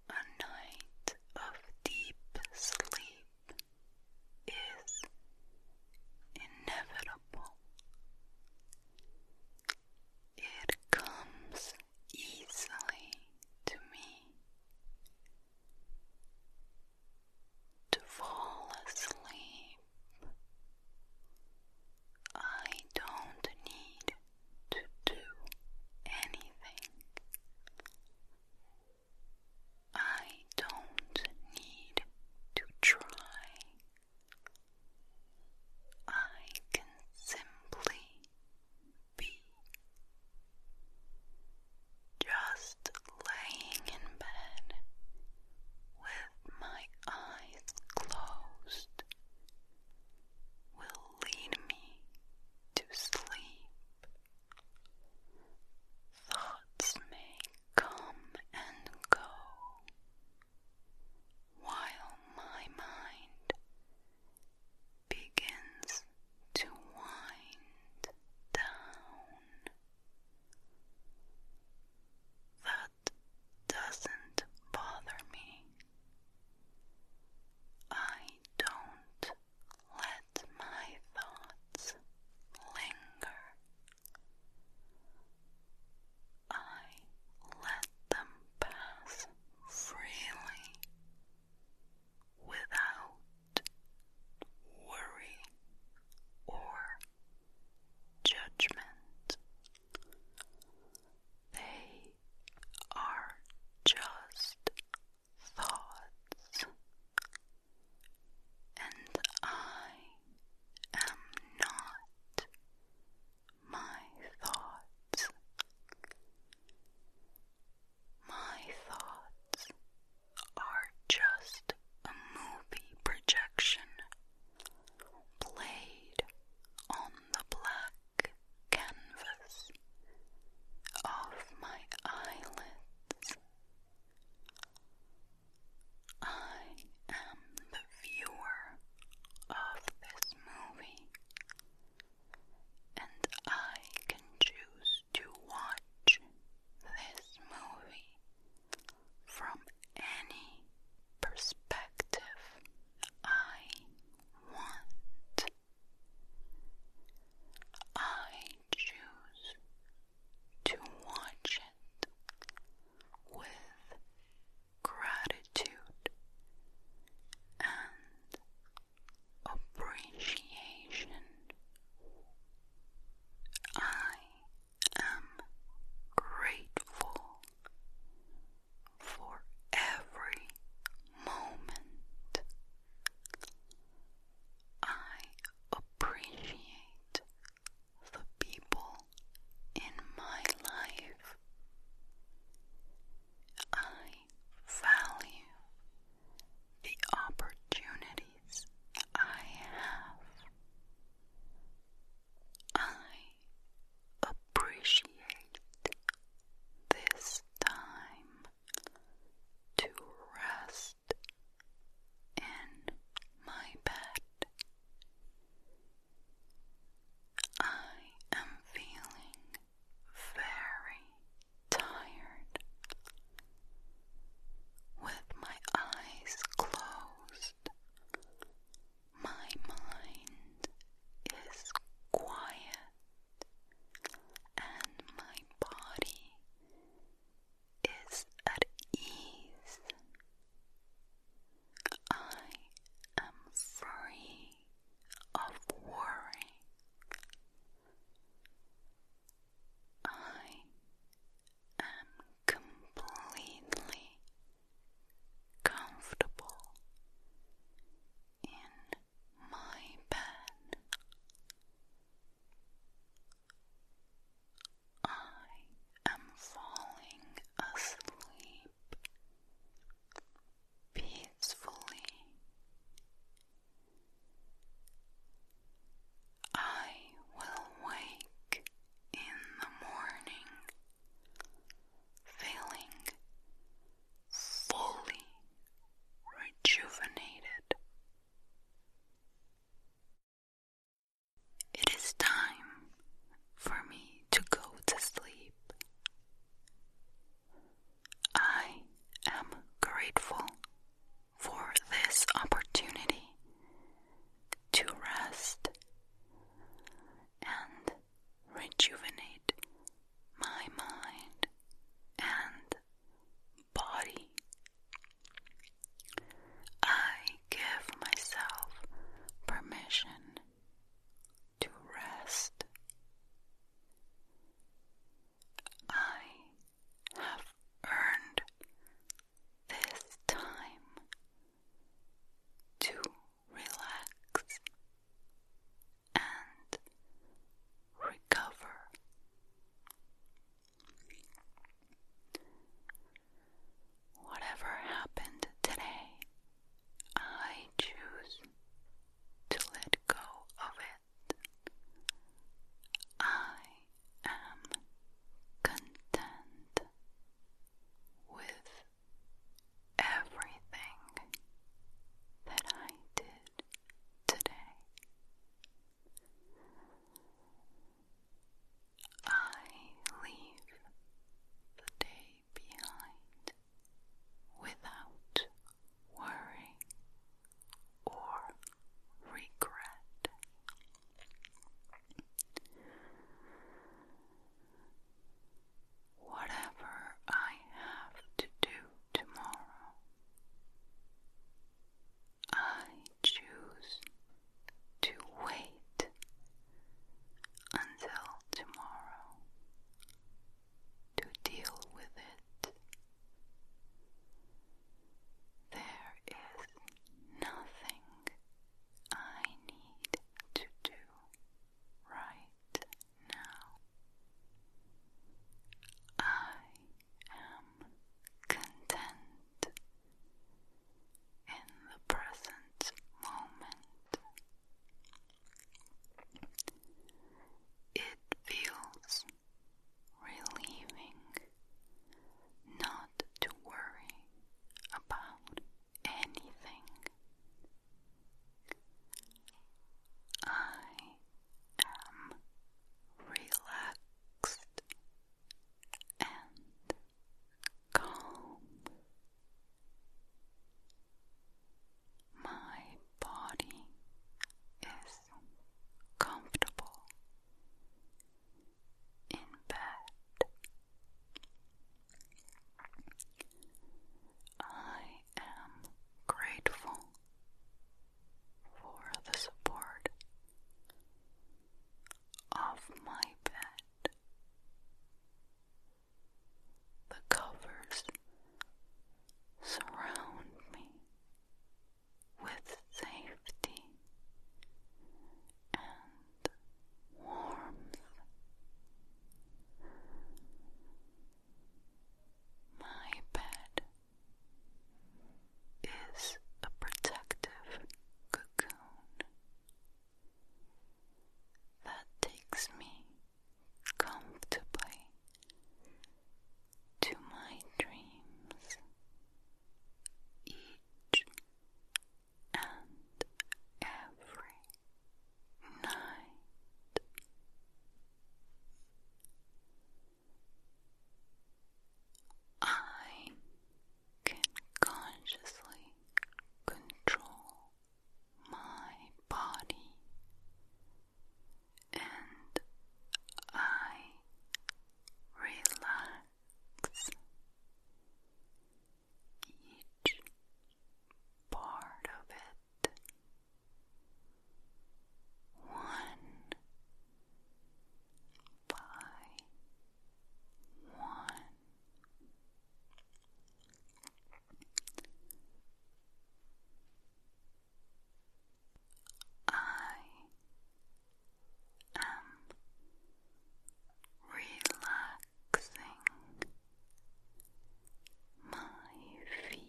A night of deep sleep is inevitable. It comes easily to me. To fall asleep, I don't need to do anything. I don't need to try. I can simply be just laying in bed with my eyes closed will lead me to sleep. Thoughts may come and go, while my mind begins to wind down. That doesn't bother me I don't let my thoughts linger. I let them pass freely without worry or judgment. They are just thoughts, and I am not my thoughts. My thoughts are just a movie projection played on the black canvas of my eyelids. I am the viewer of this movie, and I can choose to watch this movie from any perspective I want. I choose to watch it with gratitude and appreciation. I am grateful for every moment. I appreciate the people in my life. I value the opportunities I have. I appreciate this time to rest in my bed. I am feeling very tired. With my eyes closed, my mind is quiet and my body is at ease. I am free of worry. I am completely comfortable in my pen. I am falling asleep peacefully. I will wake in the morning feeling fully rejuvenated. It is time for me to go to sleep. I am grateful for this opportunity to rest and rejuvenate my mind and body. I give myself permission to rest. I have earned this time to relax and recover. Whatever happened today, I choose to let go of it. I am content with everything that I did today. I leave the day behind without worry or regret. Whatever I have to do tomorrow I choose to wait until tomorrow to deal with it. There is nothing I need to do right now I am content in the present moment. It feels relieving not to worry about anything. I i am um, relaxed and calm. My body is comfortable in bed. I am grateful for the support of my bed. The covers surround me with safety and warmth. My bed is a protective cocoon that takes me comfortably to my dreams each and every night. I can consciously control my body and I relax each part of it one by one. I am relaxing my feet.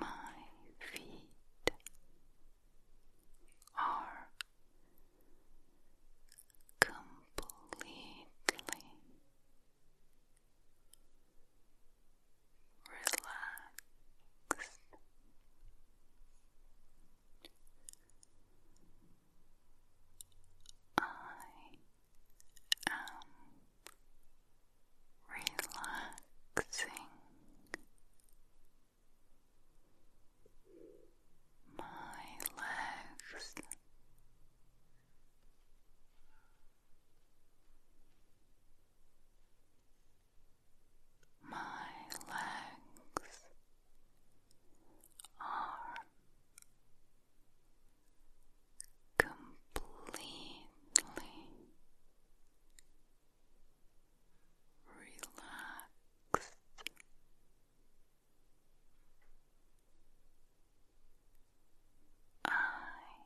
My feet are completely relaxed. I am relaxing my legs. My legs are completely relaxed. I am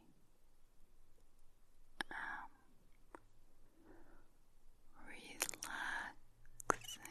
relaxing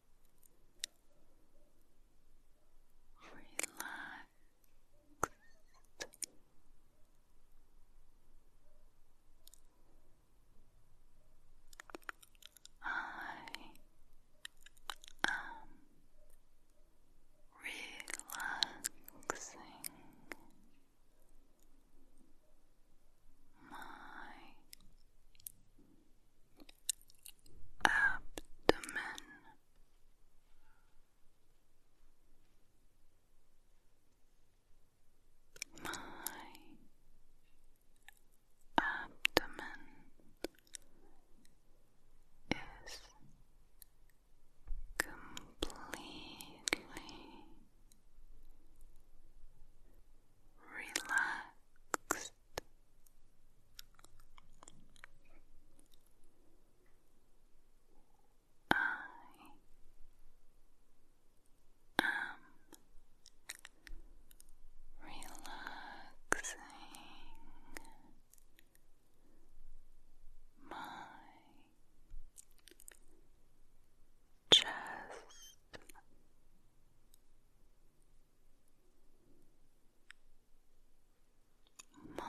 relaxed. I am relaxing my abdomen. My abdomen is completely relaxed. I am relaxing my chest my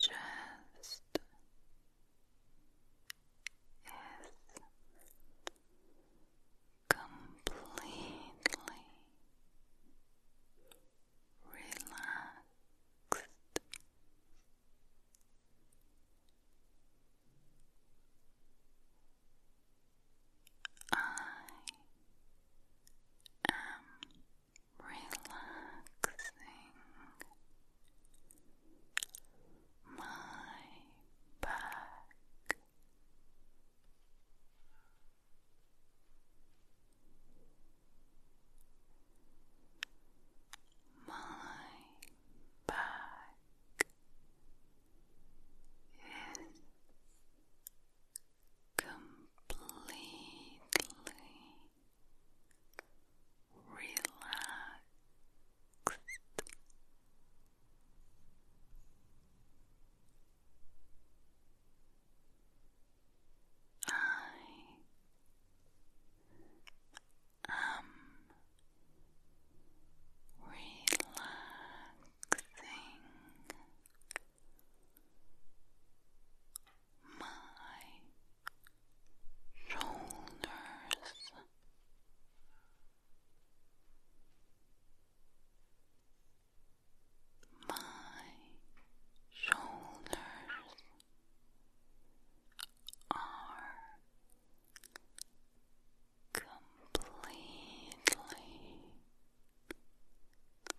chest is completely relaxed. I am relaxing my back. My back is completely relaxed. I am relaxed thing my shoulders my shoulders are completely relaxed.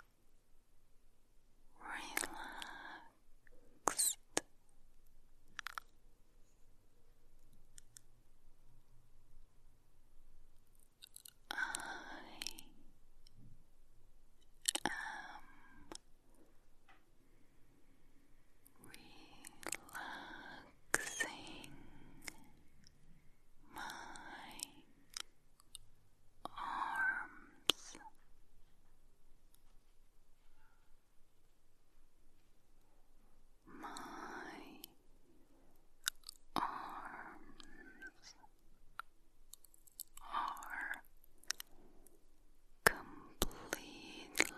I am relaxing my arms. My arms are completely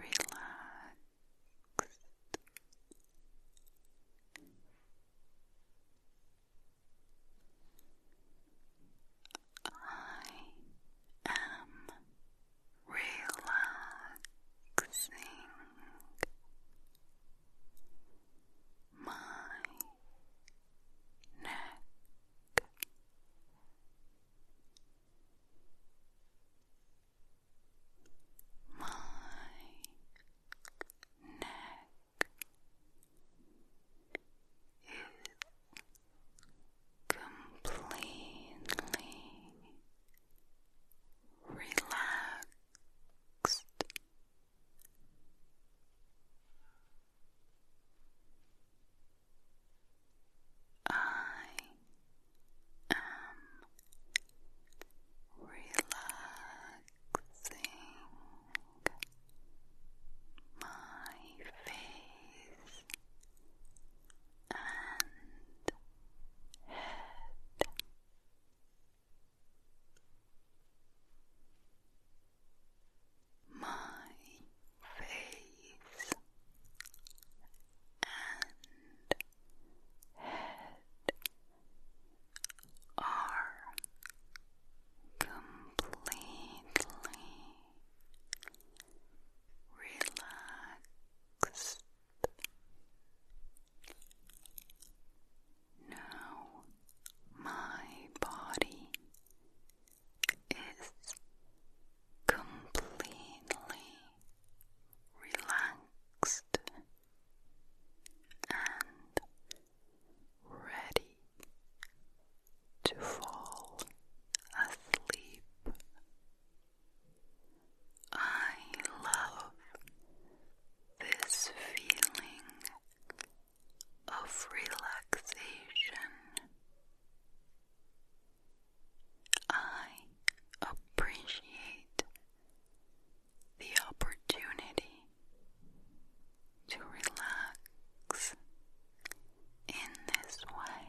relaxed. I am relaxing my neck my neck is completely relaxed. I am relaxing my face and head. My face and head are completely relaxed. Now my body is completely relaxed and ready to fall asleep. I love this feeling of relaxation. I appreciate the opportunity to relax in this way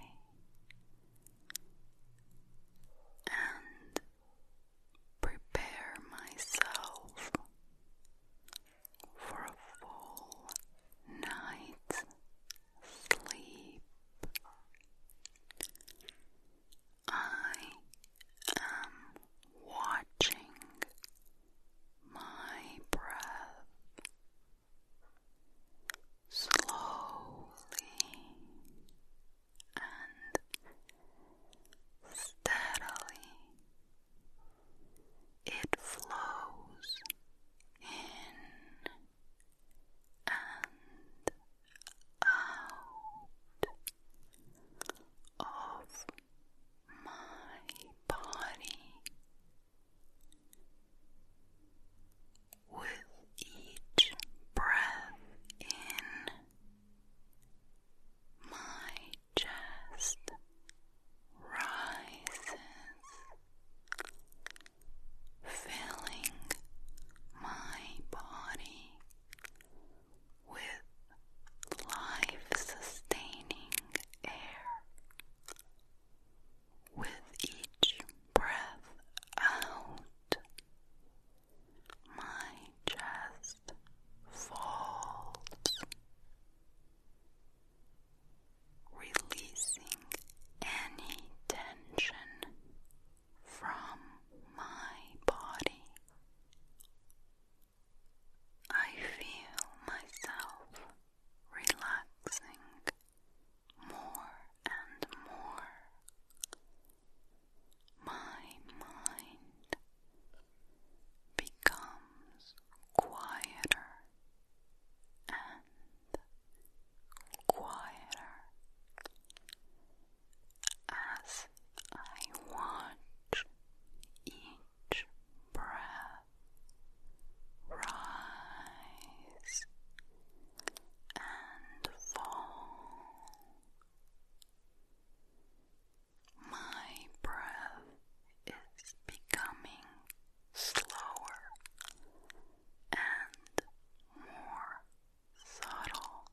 and prepare myself for a full night's sleep. I am watching my breath slowly and steadily. It flows in and out of my body with each breath in my chest rises filling my body with life sustaining air. With each breath out, my chest falls, releasing any tension from my body. I feel myself relaxing more and more. My mind becomes quieter and quieter as I watch each breath rise and fall. My breath is becoming slower and more subtle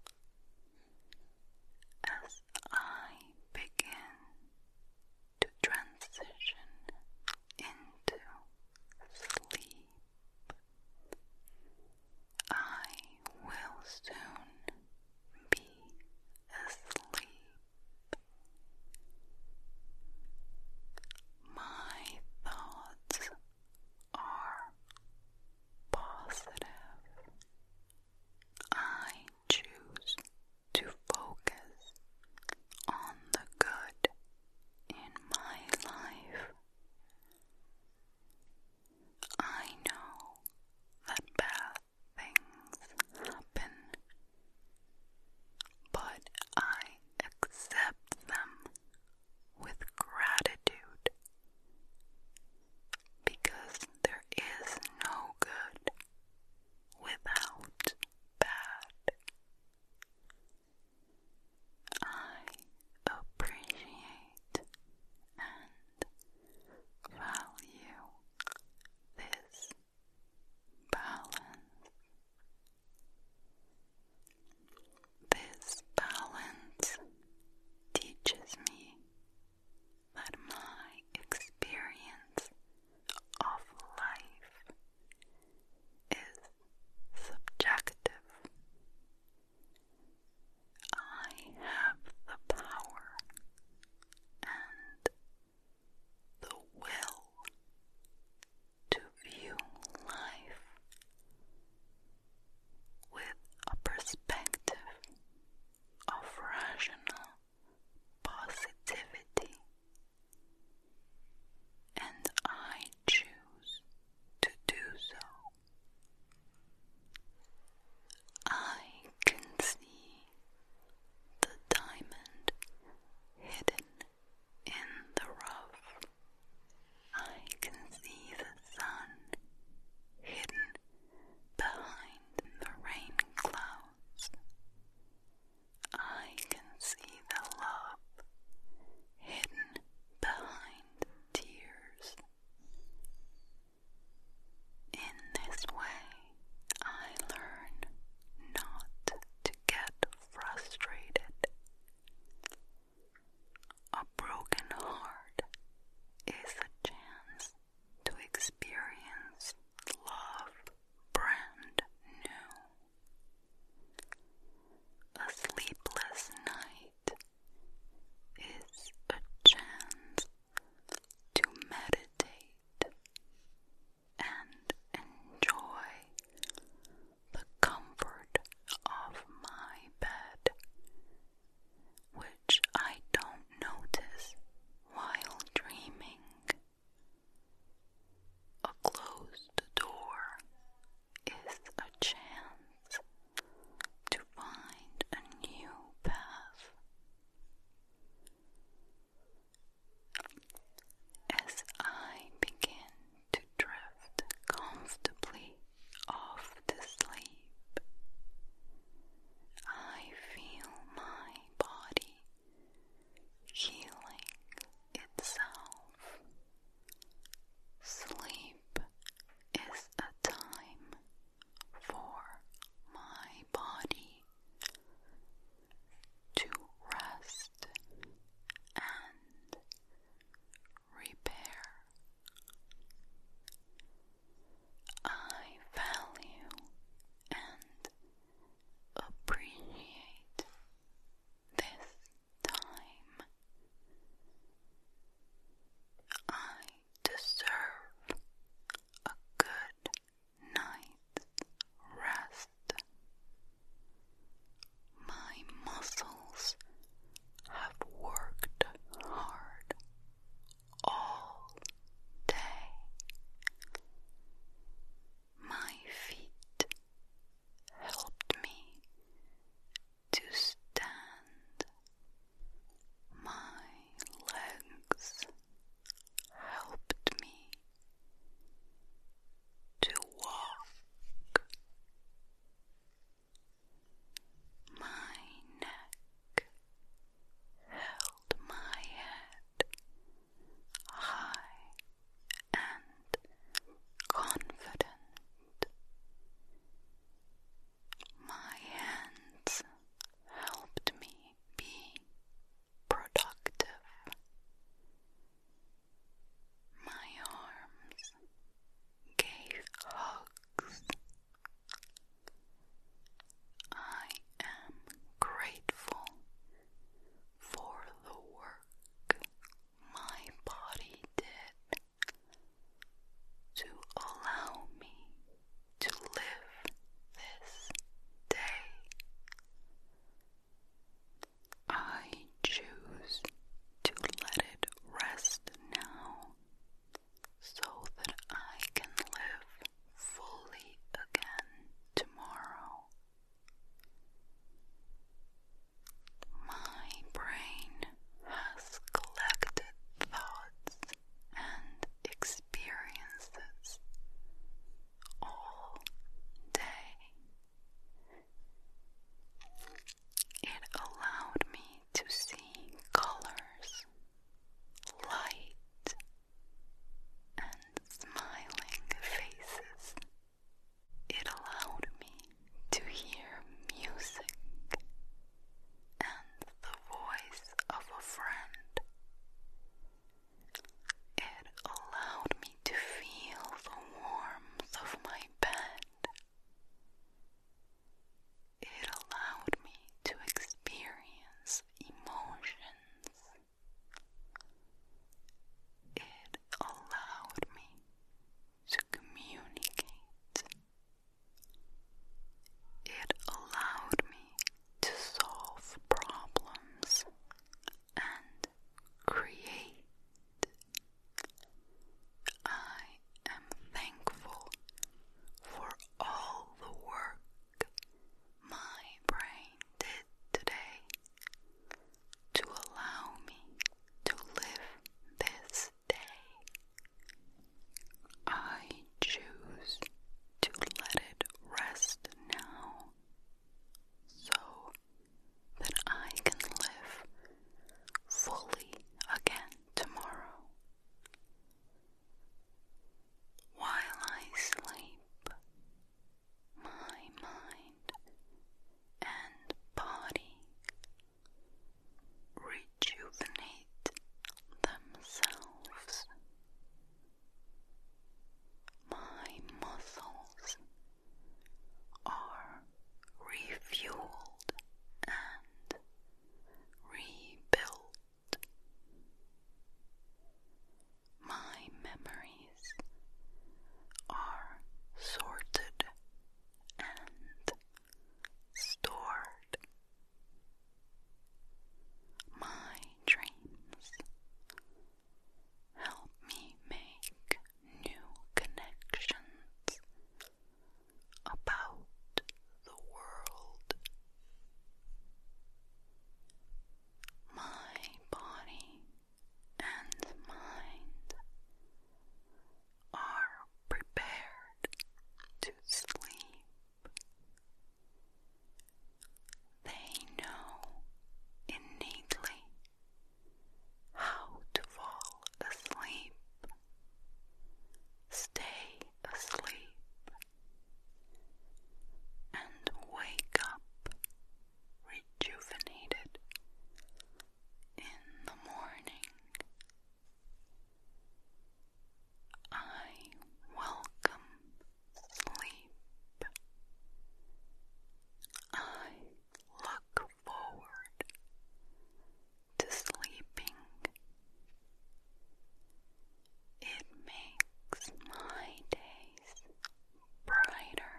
as I begin to transition into sleep. I will soon be asleep. My thoughts are positive. I choose to focus on the good in my life. I know that bad things happen, but I accept them with gratitude because there is no good without bad. I appreciate and value this balance. This balance teaches me that my experience of life is subjective. I have the power and the will to view life with a perspective of rational positivity, and I choose to do so. I can see the diamond hidden in the rough. I can see the sun hidden behind the rain clouds. I can see the love hidden behind tears. In this way, I learn not to get frustrated. A broken heart is a chance to experience love brand new. A sleepless night is a chance to meditate and enjoy the comfort of my bed which I don't notice while dreaming. A closed door is a chance to find a new path. As I begin to drift comfortably off to sleep. I feel my body healing itself. Sleep is a time for my body to rest and repair. I value and appreciate this time. I deserve a good night's rest. My muscles have worked hard all day. My feet helped me to stand. My legs helped me to walk. My neck held my head high and confident. My hands helped me be productive. My arms gave hugs I am grateful for the work my body did to allow me to live this day. I choose to let it rest now so that I can live fully again tomorrow. My brain has collected thoughts and experiences all day. It allowed me to seeing colors, light, and smiling faces. It allowed me to hear music and the voice of a friend. It allowed me to feel the warmth of my bed. It allowed me to experience emotions. It allowed me to communicate. It allowed me to solve problems and create. I am thankful for all the work my brain did today to allow me to live this day. I choose to let it rest now so that I can live fully again tomorrow. While I sleep, my mind and body rejuvenate themselves. My muscles are refueled and rebuilt. My memories are sorted and stored. My dreams help me make new connections about the world. My body and mind are prepared to sleep. They know innately how to fall asleep. Stay asleep and wake up rejuvenated in the morning. I welcome sleep. I look forward to sleeping. It makes my days brighter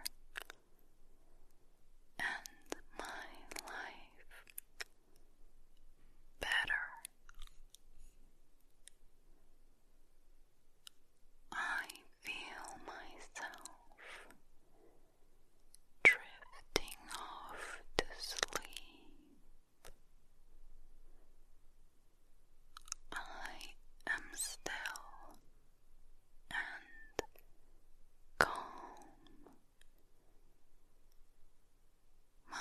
and my life better. I feel myself drifting off to sleep I am still and calm. My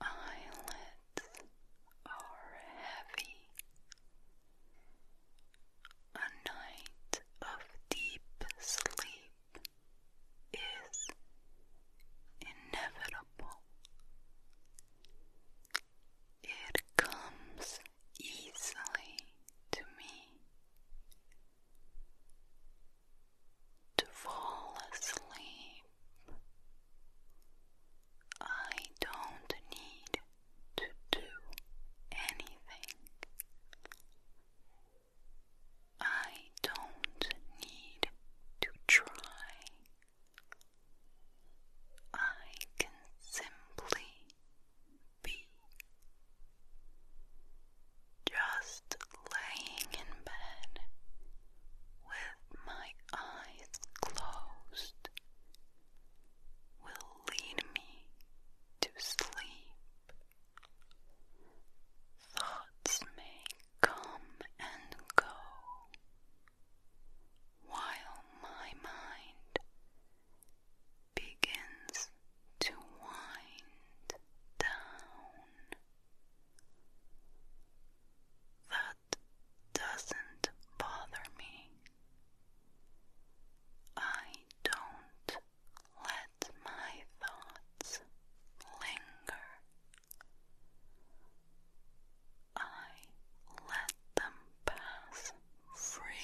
eyelids are heavy. A night of deep sleep is inevitable. It comes easily to me. To fall asleep, I don't need to do anything. I don't need to try. I can simply be just laying in bed with my eyes closed will lead me to sleep. Thoughts may come and go, while my mind begins to wind down. That doesn't bother me. I don't let my thoughts linger I let them pass freely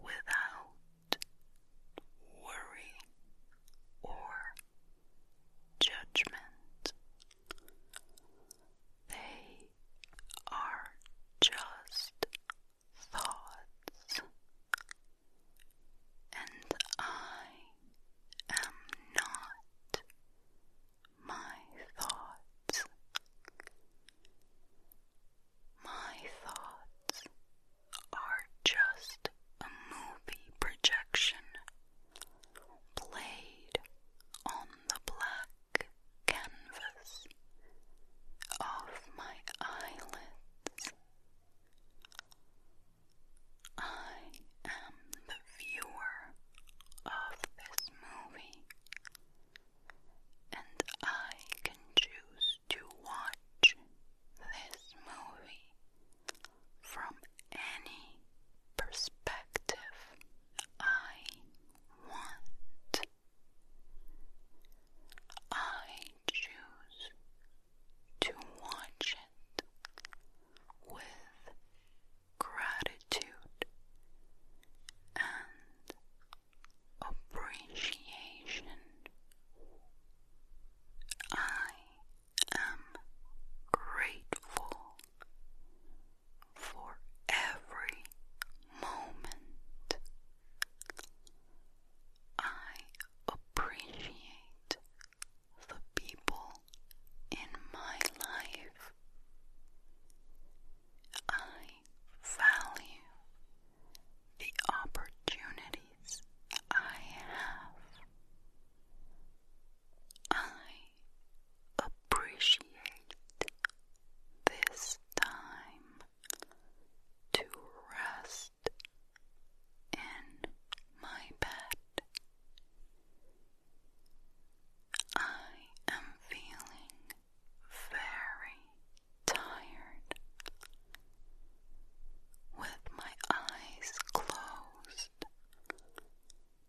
without worry or judgment. They are just thoughts and I am not my thoughts. My thoughts are just a movie projection played on the black canvas of my eyelids. I am the viewer of this movie, and I can choose to watch this movie from any perspective I want. I choose to watch it with gratitude and appreciation. I am grateful for every moment. I appreciate the people in my life. I value the opportunities I have. I appreciate this time to rest in my bed. I am feeling very tired. With my eyes closed,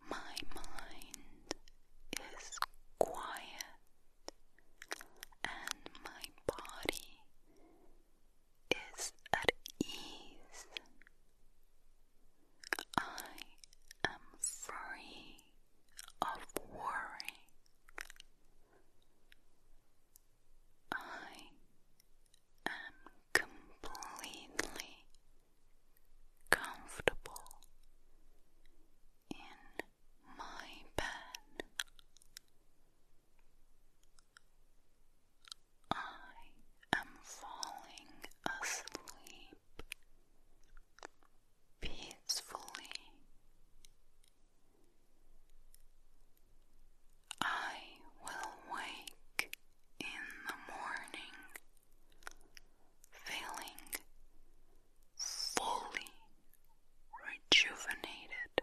my mind is quiet and my body is at ease. I am free of worry. I am completely comfortable in my bed. I am falling asleep peacefully. I will wake in the morning feeling fully rejuvenated.